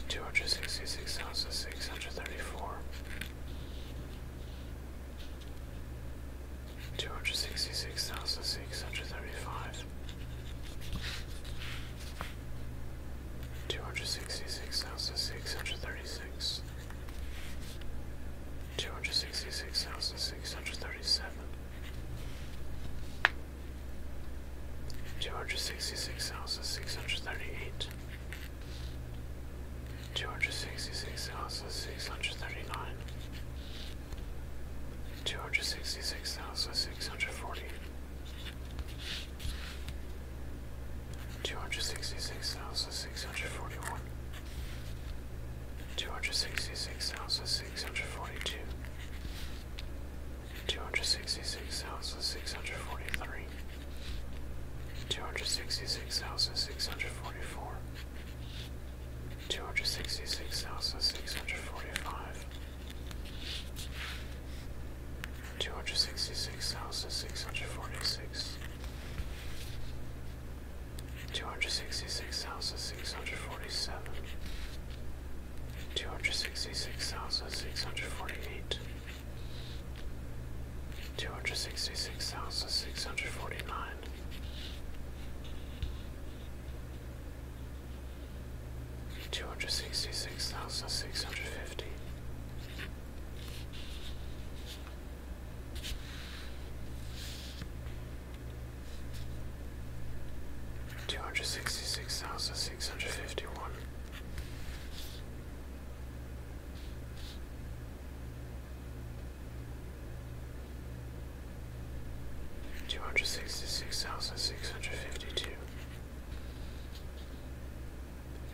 Two hundred sixty six thousand six hundred thirty four, two hundred sixty six thousand six hundred thirty five, two hundred sixty six thousand six hundred thirty six, two hundred sixty six thousand six hundred thirty seven. Two hundred sixty six thousand six hundred thirty eight, two hundred sixty six thousand six hundred thirty nine, two hundred sixty six thousand six hundred forty, two hundred sixty six thousand six hundred forty one, two hundred sixty six thousand six hundred forty two two hundred sixty six thousand six hundred forty three, two hundred sixty six thousand six hundred forty four, two hundred sixty six thousand six hundred forty five, two hundred sixty six thousand six hundred forty six. Two hundred sixty six thousand six hundred forty seven, two hundred sixty six thousand six hundred forty eight, Two hundred sixty six thousand six hundred forty nine, two hundred sixty six thousand six hundred fifty, two hundred sixty six thousand six hundred fifty one. 266651 Two hundred sixty six thousand six hundred fifty two,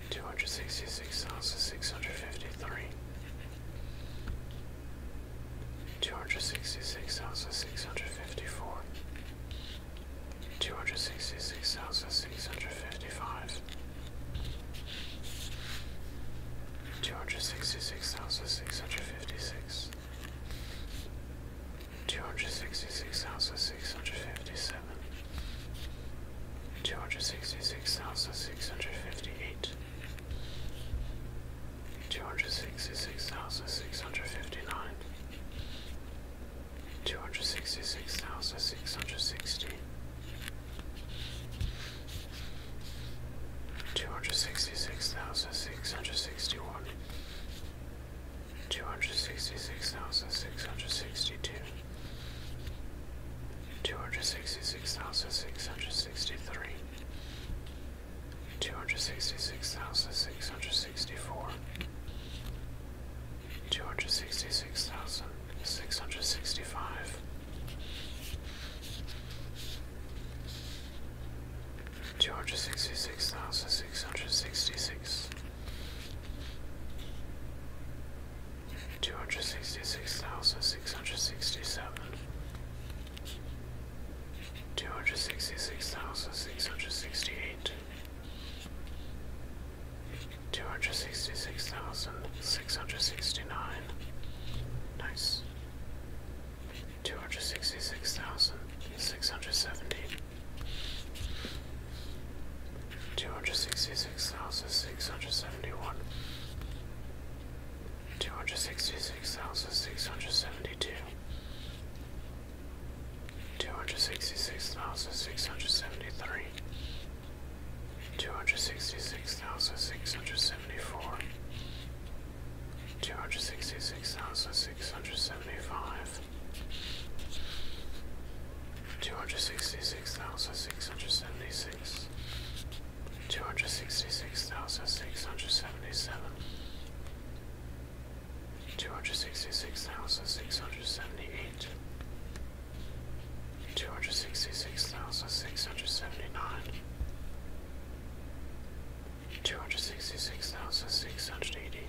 two hundred sixty six thousand six hundred fifty three, two hundred sixty six thousand six hundred fifty four, Two hundred sixty six thousand six hundred fifty five, two hundred sixty six thousand six hundred fifty six, two hundred sixty six thousand six hundred fifty seven, two hundred sixty six thousand six hundred fifty eight, two hundred sixty six thousand six hundred fifty nine. Two hundred sixty-six thousand six hundred sixty-one. six thousand six hundred sixty one two hundred sixty six thousand six hundred sixty two two hundred sixty six thousand six hundred sixty three Two hundred sixty six thousand six hundred sixty four, two hundred sixty six thousand six hundred sixty five, two hundred sixty six thousand six hundred sixty six, two hundred sixty six thousand six hundred sixty seven. Two hundred sixty six thousand six hundred sixty eight, Two hundred sixty six thousand six hundred sixty nine. Nice. Two hundred sixty six thousand six hundred seventy. Two hundred sixty six thousand six hundred seventy one. Two hundred sixty six thousand six hundred seventy two two hundred sixty six thousand six hundred seventy three, two hundred sixty six thousand six hundred seventy four, two hundred sixty six thousand six hundred seventy five, two hundred sixty six thousand six hundred seventy six. Two hundred sixty six thousand six hundred seventy seven, two hundred sixty six thousand six hundred seventy eight, two hundred sixty six thousand six hundred seventy nine, two hundred sixty six thousand six hundred eighty.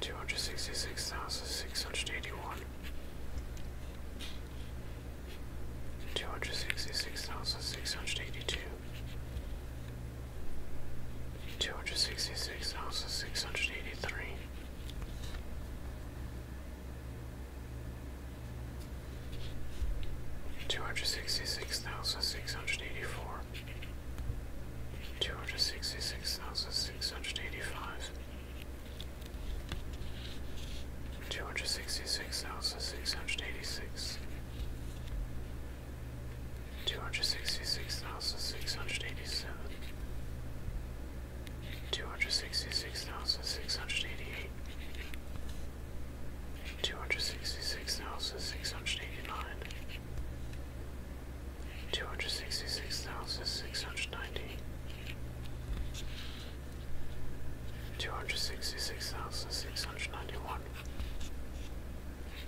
Two hundred sixty six thousand six hundred eighty one, two hundred sixty six thousand six hundred eighty two, Two hundred sixty six thousand six hundred eighty three. Two hundred sixty six thousand six hundred eighty four. Two hundred sixty six thousand six hundred eighty five. Two hundred sixty six thousand six hundred eighty six two hundred sixty six thousand six hundred eighty seven, two hundred sixty six thousand six hundred eighty eight. Two hundred sixty six thousand six hundred eighty nine, two hundred sixty six thousand six Two hundred sixty-six thousand six hundred ninety. Two hundred sixty-six thousand six hundred ninety-one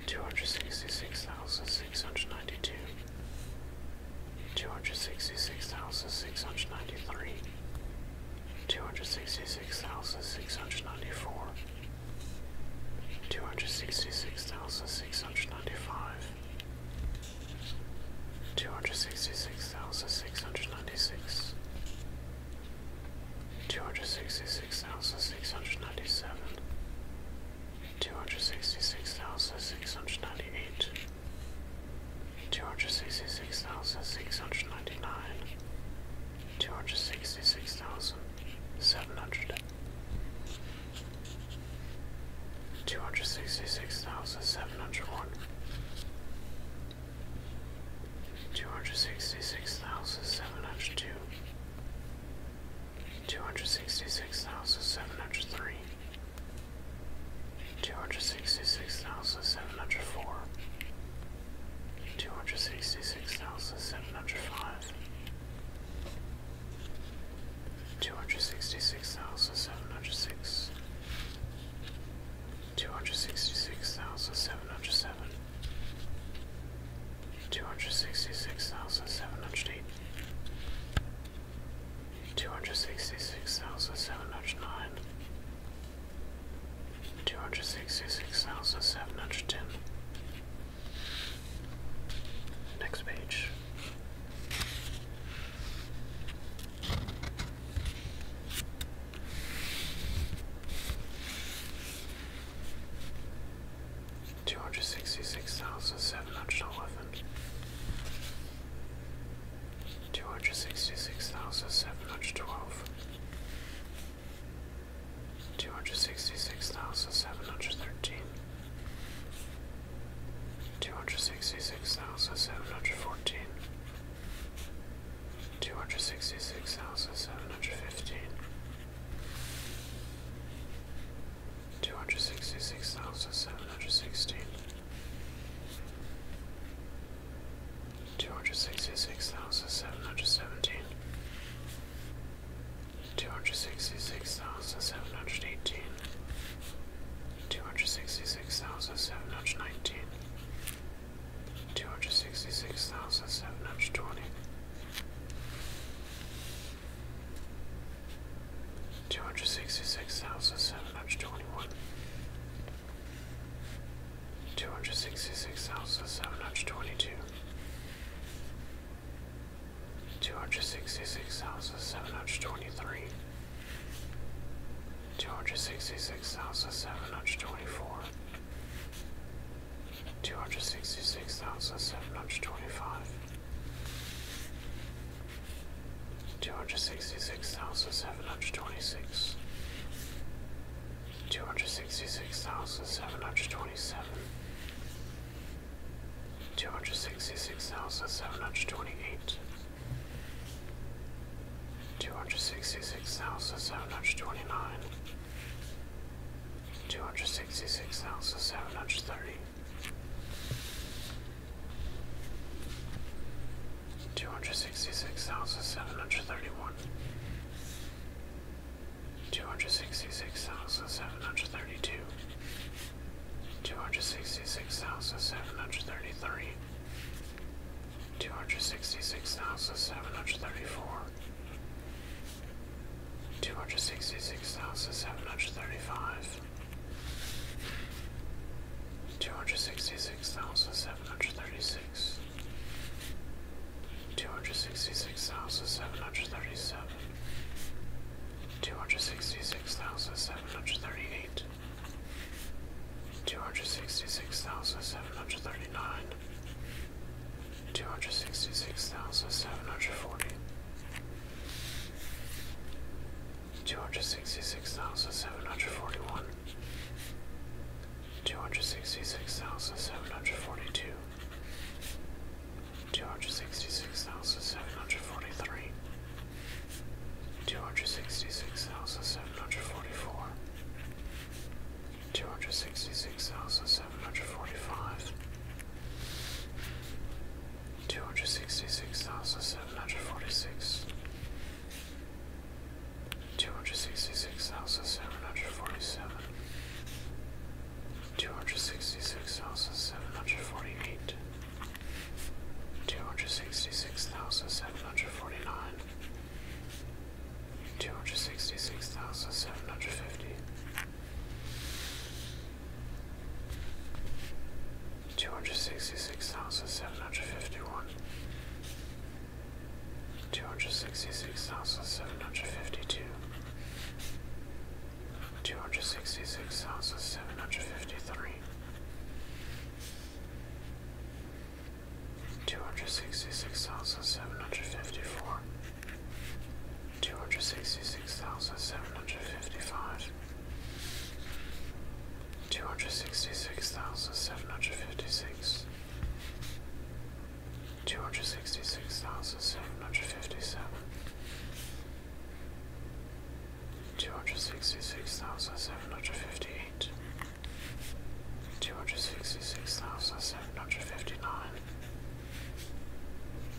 two hundred sixty six thousand six hundred ninety two, two hundred sixty six thousand six hundred ninety three, two hundred sixty six thousand six hundred ninety four, two hundred sixty six thousand six hundred ninety five, two hundred sixty six thousand six hundred ninety six two hundred sixty six thousand six hundred ninety seven, two hundred sixty six thousand six hundred ninety eight, two hundred sixty six thousand six hundred ninety nine, two hundred sixty six thousand seven hundred. Two hundred sixty six thousand seven hundred one, two hundred sixty six thousand seven hundred two, two hundred sixty six thousand seven hundred three, two hundred sixty six thousand seven hundred four, two hundred sixty six thousand seven hundred five, two hundred sixty six thousand seven hundred six, two hundred sixty six thousand seven hundred seven two hundred sixty six thousand seven hundred eight, two hundred sixty six thousand seven hundred nine, two hundred sixty six thousand seven hundred ten. Next page. Two hundred sixty-six thousand seven hundred eleven. Two hundred sixty-six thousand seven hundred twelve. Two hundred sixty-six thousand seven hundred thirteen. Two hundred sixty-six thousand seven hundred fourteen. 266715 Two hundred sixty six thousand seven hundred sixteen, two hundred sixty six thousand seven hundred seventeen, two hundred sixty six thousand seven hundred eighteen, two hundred sixty six thousand seven hundred nineteen, two hundred sixty six thousand seven hundred twenty. 266720 Two hundred sixty six thousand seven hundred twenty one, two hundred sixty six thousand seven hundred twenty two, two hundred sixty six thousand seven hundred twenty three, two hundred sixty six thousand seven hundred twenty four two hundred sixty six thousand seven hundred twenty five, two hundred sixty six thousand seven hundred twenty six, two hundred sixty six thousand seven hundred twenty seven, two hundred sixty six thousand seven hundred twenty eight. Two hundred sixty six thousand seven hundred twenty nine, Two hundred sixty-six thousand seven hundred thirty-one. six thousand seven hundred thirty one, two hundred sixty six thousand seven hundred thirty two, two hundred sixty six thousand seven hundred thirty three. Two hundred sixty six thousand seven hundred thirty four, two hundred sixty six thousand seven hundred thirty five, two hundred sixty six thousand seven hundred thirty six, two hundred sixty six thousand seven hundred thirty seven, two hundred sixty six thousand seven hundred thirty eight. Two hundred sixty six thousand seven hundred thirty nine, two hundred sixty six thousand seven hundred forty, two hundred sixty six thousand seven hundred forty one, two hundred sixty six thousand seven hundred forty two, two hundred sixty six thousand seven hundred forty three. Two hundred sixty six thousand seven hundred forty four, two hundred sixty six thousand seven hundred forty five, two hundred sixty six thousand seven hundred forty six, two hundred sixty six thousand seven hundred forty seven, two hundred sixty six thousand seven hundred forty eight. Two hundred sixty six thousand seven hundred forty nine, two hundred sixty six thousand seven hundred fifty, Two hundred sixty six thousand seven hundred fifty one, two hundred sixty six thousand seven hundred fifty two, two hundred sixty six thousand seven hundred fifty three, two hundred sixty six thousand seven hundred fifty four. 266754 two hundred sixty six thousand seven hundred fifty five, two hundred sixty six thousand seven hundred fifty six, two hundred sixty six thousand seven hundred fifty seven, two hundred sixty six thousand seven hundred fifty eight. Two hundred sixty six thousand seven hundred fifty nine,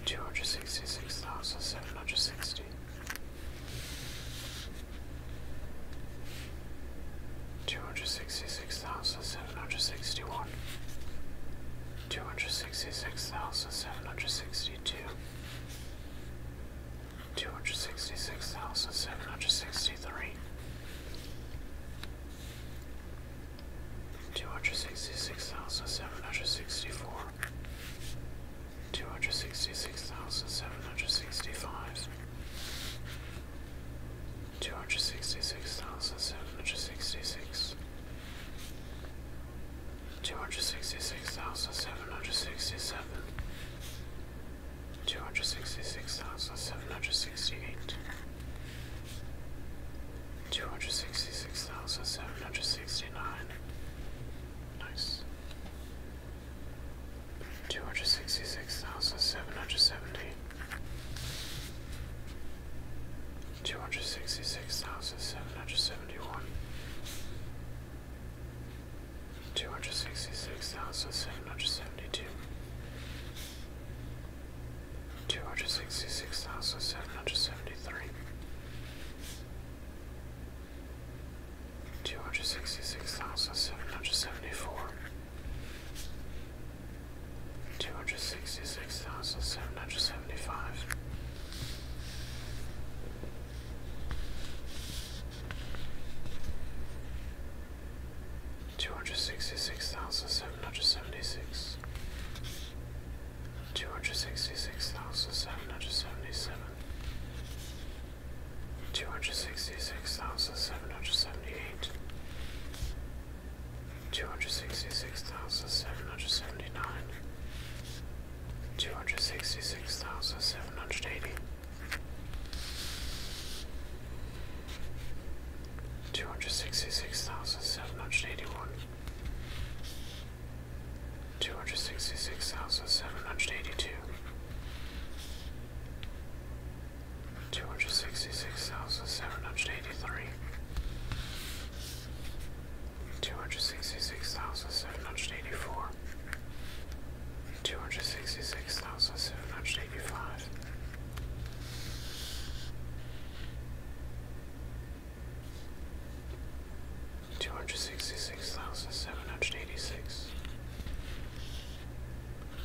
two hundred sixty six thousand seven hundred sixty. Two hundred sixty six thousand seven hundred sixty one, two hundred sixty six thousand seven hundred sixty two, two hundred sixty six thousand seven hundred sixty three, two hundred sixty six thousand seven hundred sixty four, two hundred sixty six thousand seven hundred sixty five, two hundred sixty six thousand seven hundred sixty six. Two hundred sixty six thousand seven hundred sixty seven, two hundred sixty six thousand seven hundred sixty eight, Two hundred sixty six thousand seven hundred sixty nine. Nice. Two hundred sixty six thousand seven hundred seventy. Two hundred sixty six thousand seven hundred seventy one. Two hundred sixty six thousand seven hundred seventy two two hundred sixty six thousand seven hundred seventy three, two hundred sixty six thousand seven hundred seventy four, two hundred sixty six thousand seven hundred seventy five. Two hundred sixty six thousand seven hundred seventy six, two hundred sixty six thousand seven hundred seventy seven, two hundred sixty six thousand seven hundred seventy eight, two hundred sixty six thousand seven hundred seventy nine, two hundred sixty six thousand seven hundred eighty. 266,781 Two hundred sixty-six thousand seven hundred eighty-two, two hundred sixty-six thousand seven hundred eighty-three, two hundred sixty-six thousand seven hundred eighty-four, two hundred sixty-six thousand seven hundred eighty-five. Two hundred sixty six thousand seven hundred eighty six,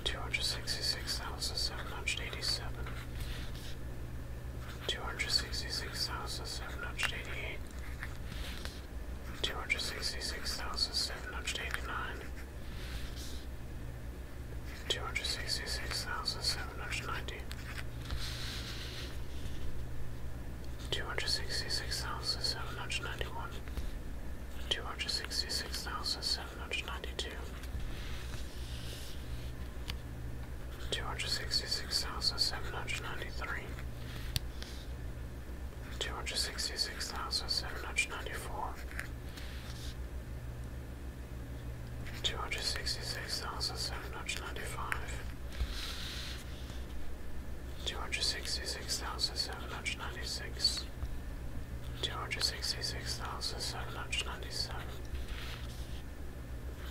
two hundred sixty six thousand seven hundred eighty seven, two hundred sixty six thousand seven hundred eighty eight, two hundred sixty six thousand seven hundred eighty nine, two hundred sixty six thousand seven hundred ninety two hundred sixty six thousand seven hundred ninety one two hundred sixty six thousand seven hundred ninety two Two hundred sixty six thousand seven hundred ninety three, two hundred sixty six thousand seven hundred ninety four, two hundred sixty six thousand seven hundred ninety five, two hundred sixty six thousand seven hundred ninety six, two hundred sixty six thousand seven hundred ninety seven,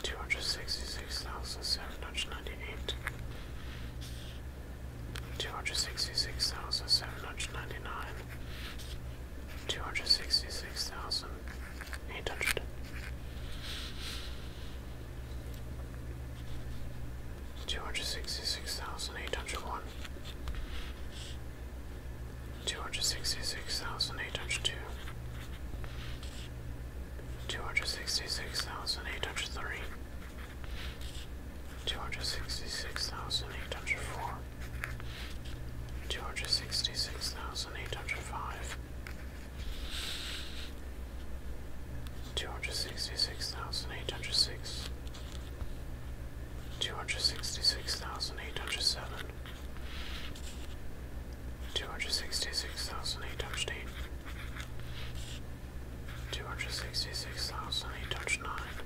two hundred sixty six thousand seven hundred ninety eight. Two hundred sixty six thousand seven hundred ninety nine, two hundred sixty six thousand eight hundred two hundred sixty six thousand eight hundred one two hundred sixty six thousand eight hundred two two hundred sixty six thousand eight hundred three Two hundred sixty six thousand eight hundred four, two hundred sixty six thousand eight hundred five, Two hundred sixty six thousand eight hundred six, two hundred sixty six thousand eight hundred seven, two hundred sixty six thousand eight hundred eight, two hundred sixty six thousand eight hundred nine,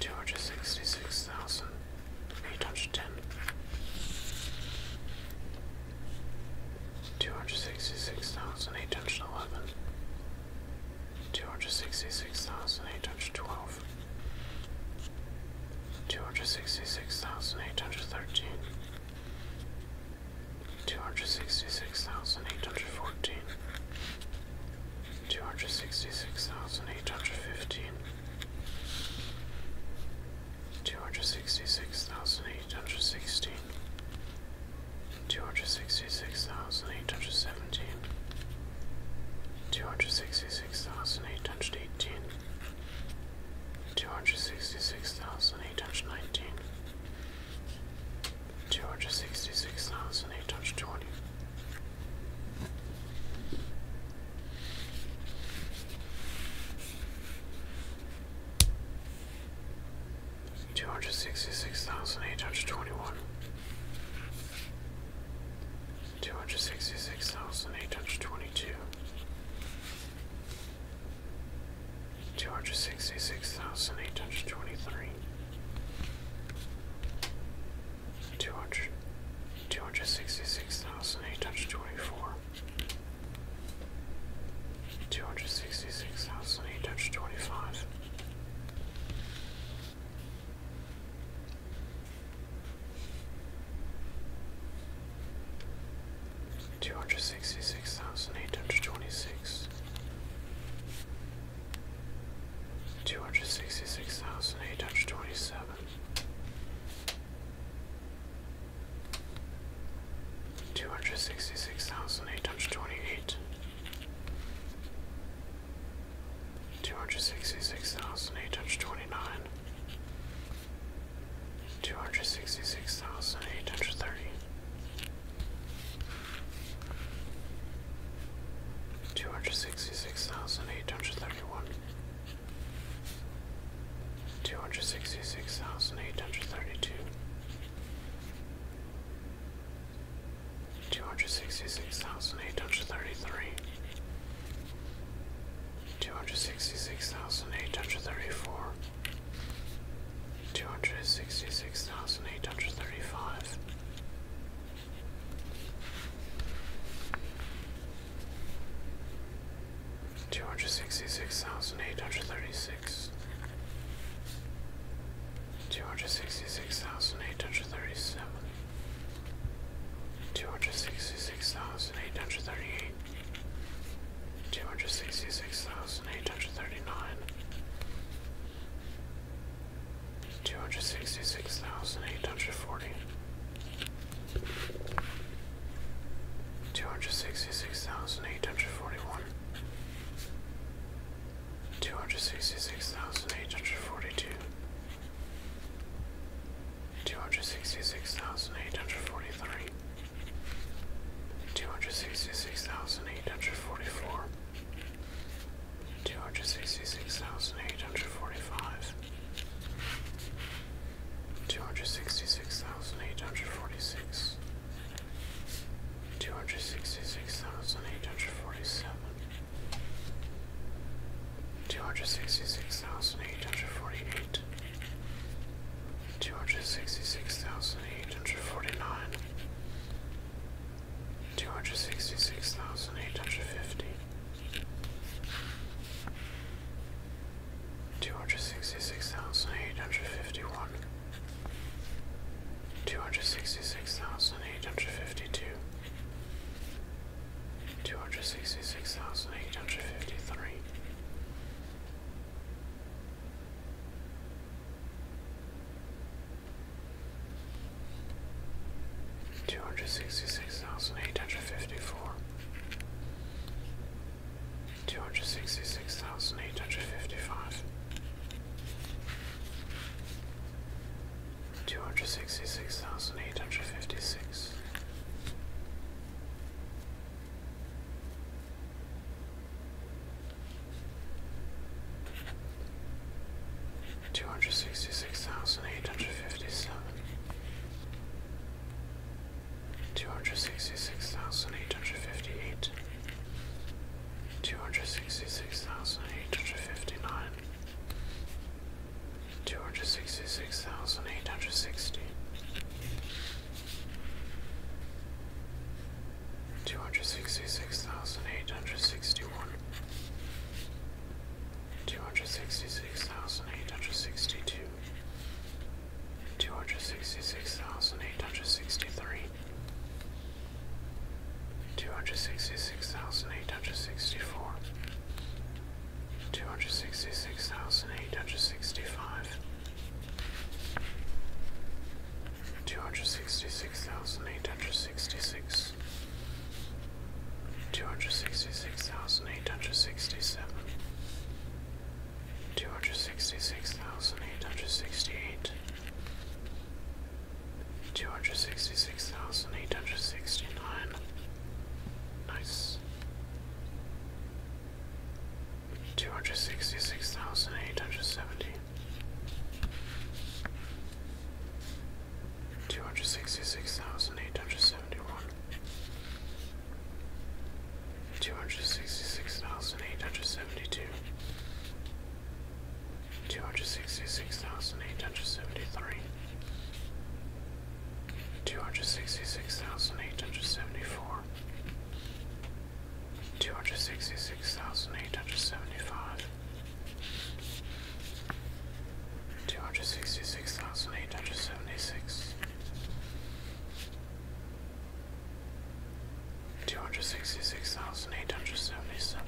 two hundred sixty six thousand 810 266811 266812 266813 266814 266815 Two hundred sixty six thousand eight hundred sixteen, two hundred sixty six thousand eight hundred seventeen, two hundred sixty six thousand eight hundred eighteen, two hundred sixty six thousand eight hundred nineteen, two hundred sixty six thousand eight hundred twenty. Two hundred sixty six thousand eight hundred twenty one, two hundred sixty six thousand eight hundred twenty two, two hundred sixty six thousand eight hundred twenty three, 200, 266,824 266,825 266,826 266,827 Two hundred sixty six thousand eight hundred twenty eight, two hundred sixty six thousand eight hundred twenty nine, two hundred sixty six thousand eight hundred thirty, two hundred sixty six thousand eight hundred thirty one. 266831 two hundred sixty six thousand eight hundred thirty two, two hundred sixty six thousand eight hundred thirty three, two hundred sixty six thousand eight hundred thirty four, two hundred sixty six thousand eight hundred thirty five. Two hundred sixty six thousand eight hundred thirty six, two hundred sixty six thousand eight hundred thirty seven, two hundred sixty six thousand eight hundred thirty eight, two hundred sixty six thousand eight hundred thirty nine, two hundred sixty six thousand eight hundred forty. 266,841 Two hundred sixty six thousand eight hundred forty one, two hundred sixty six thousand eight hundred forty two, two hundred sixty six thousand eight hundred forty three, two hundred sixty six thousand eight hundred forty four, two hundred sixty six thousand eight hundred forty five two hundred sixty six thousand eight hundred forty six, two hundred sixty six thousand eight hundred forty seven, two hundred sixty six thousand eight hundred forty eight, two hundred sixty six thousand eight hundred forty nine. Two hundred sixty six thousand eight hundred fifty, two hundred sixty six thousand eight hundred fifty one, two hundred sixty six thousand eight hundred fifty two, two hundred sixty six thousand eight hundred fifty three. Two hundred sixty six thousand eight hundred fifty four, Two hundred sixty six thousand eight hundred fifty five, two hundred sixty six thousand eight hundred fifty six, two hundred sixty six thousand eight hundred fifty seven. 266857 two hundred sixty six thousand eight hundred fifty eight, two hundred sixty six thousand eight hundred fifty nine, two hundred sixty six thousand eight hundred sixty. 266,861 266,862 two hundred sixty six thousand eight hundred sixty three, two hundred sixty six thousand eight hundred sixty four, two hundred sixty six thousand eight hundred sixty five. 266,866 266,866 eight hundred sixty seven, two hundred sixty six thousand eight hundred sixty eight, two hundred sixty six thousand eight hundred sixty nine. Nice. Two hundred sixty six thousand eight hundred seventy. Two hundred sixty six thousand eight hundred seventy one two hundred sixty six thousand eight hundred seventy two, two hundred sixty six thousand eight hundred seventy three, two hundred sixty six thousand eight hundred seventy four, two hundred sixty six thousand eight hundred seventy five. Two hundred sixty six thousand eight hundred seventy six, Two hundred sixty six thousand eight hundred seventy seven,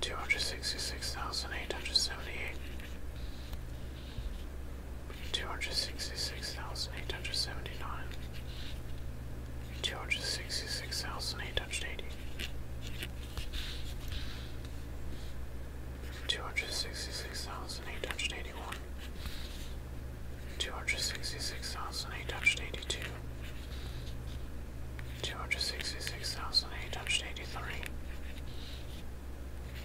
two hundred sixty six thousand eight hundred seventy eight, two hundred sixty six thousand eight hundred seventy nine, two hundred sixty six thousand eight hundred eighty two hundred sixty six thousand eight hundred eighty one, two hundred sixty six thousand eight hundred eighty two, two hundred sixty six thousand eight hundred eighty three,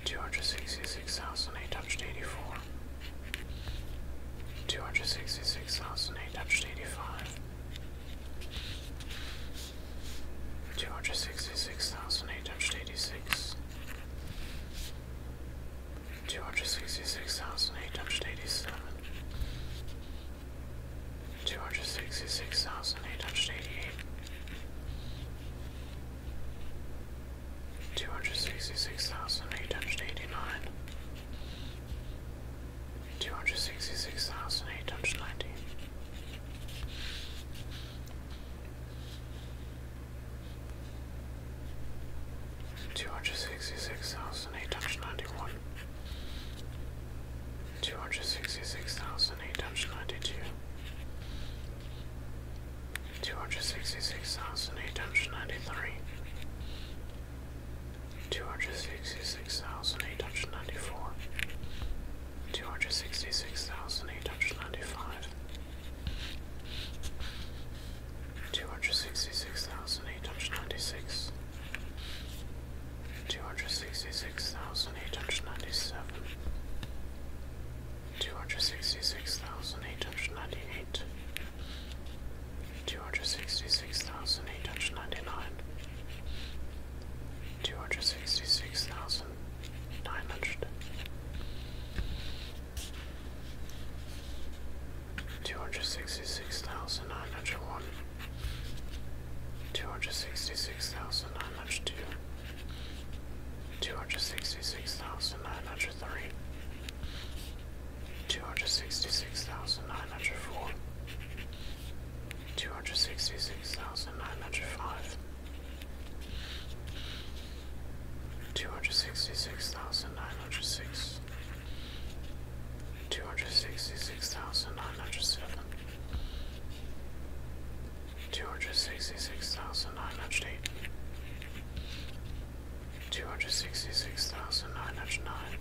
two hundred sixty six thousand eight hundred eighty four, two hundred sixty six thousand eight hundred eighty five two hundred sixty six thousand eight hundred eighty six, two hundred sixty six thousand eight hundred eighty seven, two hundred sixty six thousand eight hundred eighty eight. 266,889 266,890 Two hundred sixty six thousand eight hundred ninety one, two hundred sixty six thousand eight hundred ninety two, two hundred sixty six thousand eight hundred ninety three, two hundred sixty six thousand eight hundred ninety four, two hundred sixty six thousand eight hundred ninety five, two hundred sixty six thousand eight hundred ninety six, two hundred sixty six thousand eight hundred ninety seven, two hundred sixty six thousand eight hundred ninety eight. Two hundred sixty six thousand eight hundred ninety nine, two hundred sixty six thousand nine hundred, two hundred sixty six thousand nine hundred one, two hundred sixty six thousand nine hundred two, two hundred sixty six thousand nine hundred three, two hundred sixty six thousand nine hundred four two hundred sixty six thousand nine hundred five, two hundred sixty six thousand nine hundred six, two hundred sixty six thousand nine hundred seven, two hundred sixty six thousand nine hundred eight. Two hundred sixty six thousand nine hundred nine,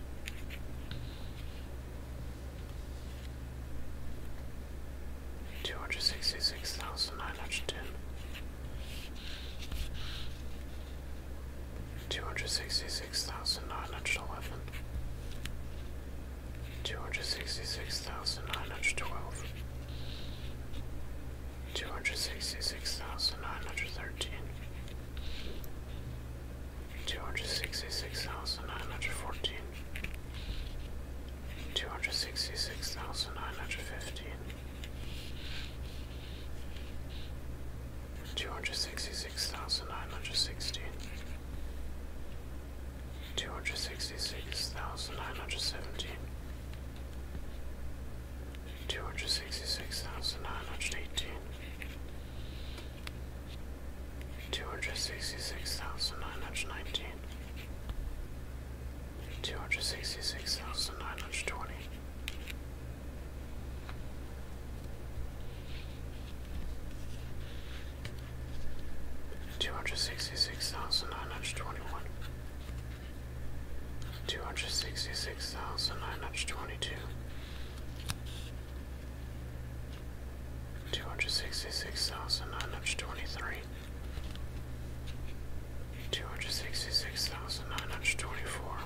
Two hundred sixty six thousand nine hundred ten, two hundred sixty six thousand nine hundred eleven, two hundred sixty six thousand nine hundred twelve, two hundred sixty six thousand nine hundred thirteen, two hundred sixty six thousand nine hundred fourteen two hundred sixty six thousand nine hundred fifteen, two hundred sixty six thousand nine hundred sixteen, two hundred sixty six thousand nine hundred seventeen, two hundred sixty six thousand nine hundred eighteen. Two hundred sixty six thousand nine hundred nineteen, two hundred sixty six thousand nine hundred twenty. Two hundred sixty six thousand nine hundred twenty one, two hundred sixty six thousand nine hundred twenty two, two hundred sixty six thousand nine hundred twenty three, two hundred sixty six thousand nine hundred twenty four,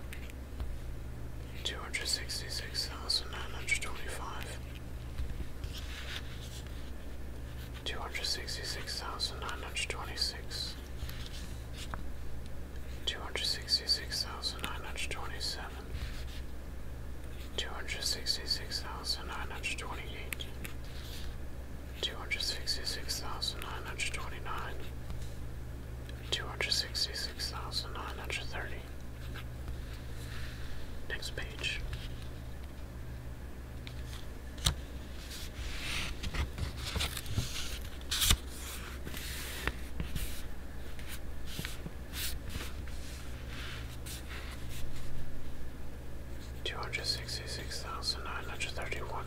two hundred sixty six thousand nine hundred twenty five, two hundred sixty six thousand nine hundred twenty six, two hundred sixty six thousand nine hundred twenty seven two hundred sixty six thousand nine hundred twenty eight, two hundred sixty six thousand nine hundred twenty nine, two hundred sixty six thousand nine hundred thirty. Next page. Two hundred sixty six thousand nine hundred thirty one,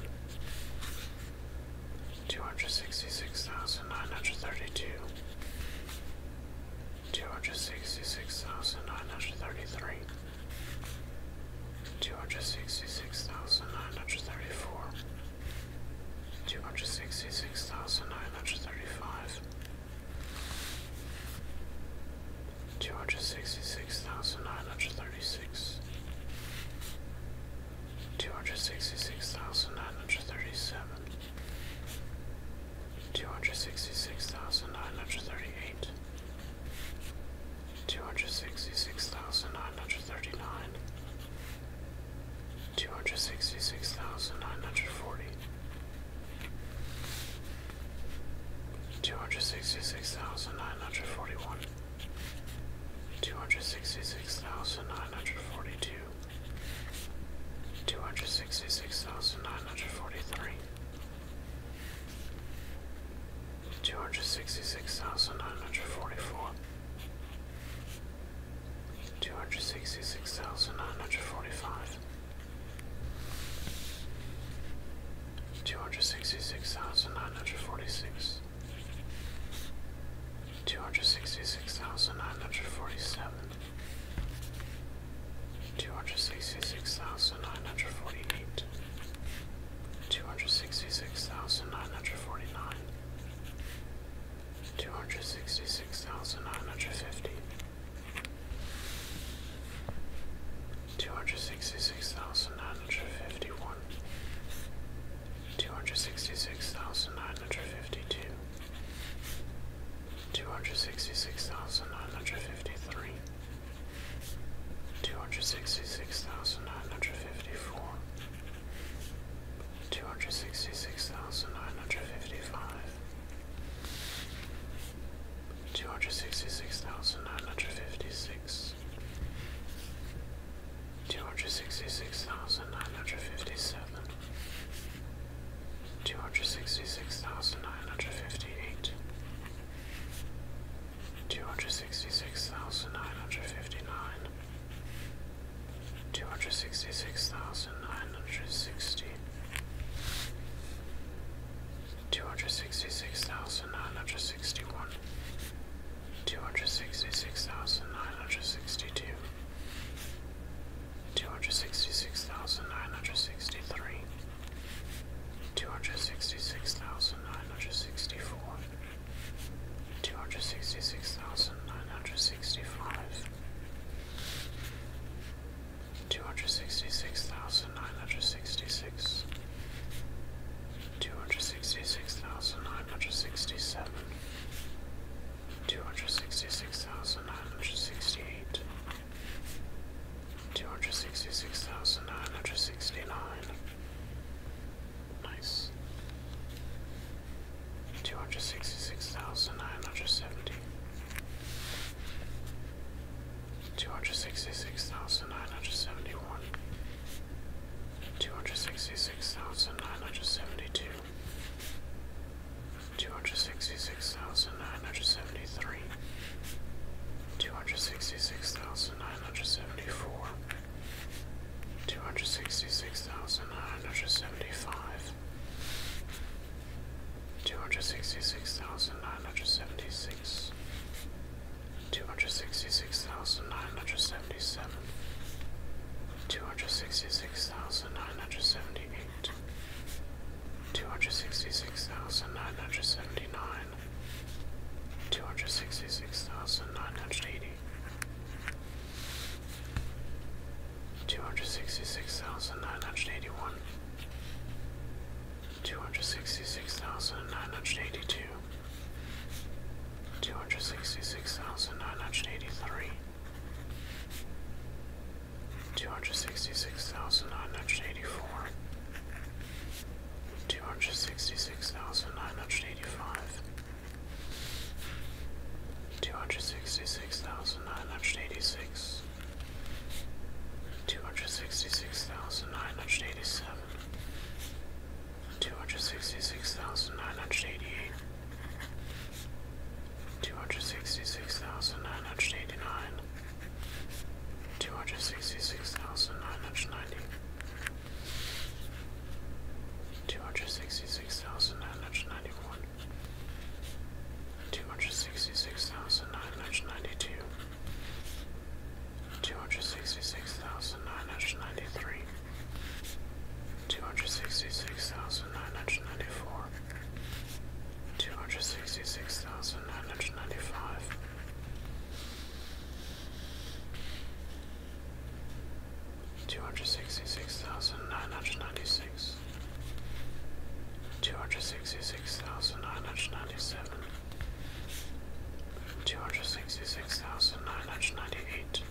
two hundred sixty six thousand nine hundred thirty two, two hundred sixty six thousand nine hundred thirty three, two hundred sixty six thousand nine hundred thirty four, two hundred sixty six thousand nine hundred thirty five. 266,935 Two hundred sixty six thousand nine hundred thirty six, two hundred sixty six thousand nine hundred thirty seven, two hundred sixty six thousand nine hundred thirty eight, two hundred sixty six thousand nine hundred thirty nine, two hundred sixty six thousand nine hundred forty two hundred sixty six thousand nine hundred forty one, two hundred sixty six thousand nine hundred forty two, two hundred sixty six thousand nine hundred forty three. Two hundred sixty six thousand nine hundred forty four, two hundred sixty six thousand nine hundred forty five, Two hundred sixty six thousand nine hundred forty six, two hundred sixty six thousand nine hundred forty seven, two hundred sixty six thousand nine hundred forty eight, two hundred sixty six thousand nine hundred forty nine, two hundred sixty six thousand nine hundred fifty. Two hundred sixty six thousand nine hundred fifty one, two hundred sixty six thousand nine hundred fifty two, two hundred sixty six thousand nine hundred fifty three, two hundred sixty six thousand nine hundred fifty four, two hundred sixty six thousand nine hundred fifty five two hundred sixty six thousand nine hundred fifty six, two hundred sixty six thousand nine hundred fifty seven, two hundred sixty six thousand nine hundred fifty eight, two hundred sixty six thousand nine hundred fifty nine. Two hundred sixty six thousand nine hundred sixty, two hundred sixty six thousand nine hundred sixty one, two hundred sixty six thousand nine hundred sixty two, two hundred sixty six thousand nine hundred sixty three, two hundred sixty six thousand nine hundred sixty four, two hundred sixty six thousand nine hundred sixty five two hundred sixty six thousand nine hundred sixty six, two hundred sixty six thousand nine hundred sixty seven, two hundred sixty six thousand nine hundred sixty eight, two hundred sixty six thousand nine hundred sixty nine. Nice. Two hundred sixty six thousand nine hundred seventy two hundred sixty six thousand nine hundred seventy one, two hundred sixty six thousand nine hundred seventy two, two hundred sixty six thousand nine hundred seventy three, two hundred sixty six thousand nine hundred seventy four. Two hundred sixty six thousand nine hundred seventy five, two hundred sixty six thousand nine hundred seventy six, two hundred sixty six thousand nine hundred seventy seven, two hundred sixty six thousand nine hundred seventy eight, two hundred sixty six thousand nine hundred seventy nine, two hundred sixty six thousand nine hundred eighty. 266,981 two hundred sixty six thousand nine hundred eighty two, two hundred sixty six thousand nine hundred eighty three, two hundred sixty six thousand nine hundred eighty four, two hundred sixty six thousand nine hundred eighty five. Two hundred sixty six thousand nine hundred eighty six, two hundred sixty six thousand nine hundred eighty seven, two hundred sixty six thousand nine hundred eighty eight, two hundred sixty six thousand nine hundred eighty nine, two hundred sixty six thousand nine hundred ninety. Two hundred sixty six thousand nine hundred ninety one, two hundred sixty six thousand nine hundred ninety two, two hundred sixty six thousand nine hundred ninety three, two hundred sixty six thousand nine hundred ninety four, two hundred sixty six thousand nine hundred ninety five. Two hundred sixty six thousand nine hundred ninety six, two hundred sixty six thousand nine hundred ninety seven, two hundred sixty six thousand nine hundred ninety eight,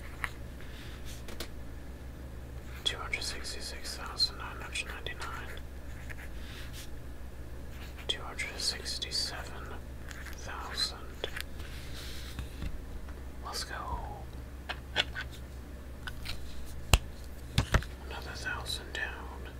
two hundred sixty six thousand nine hundred ninety nine, two hundred sixty seven thousand. Let's go. Another thousand down.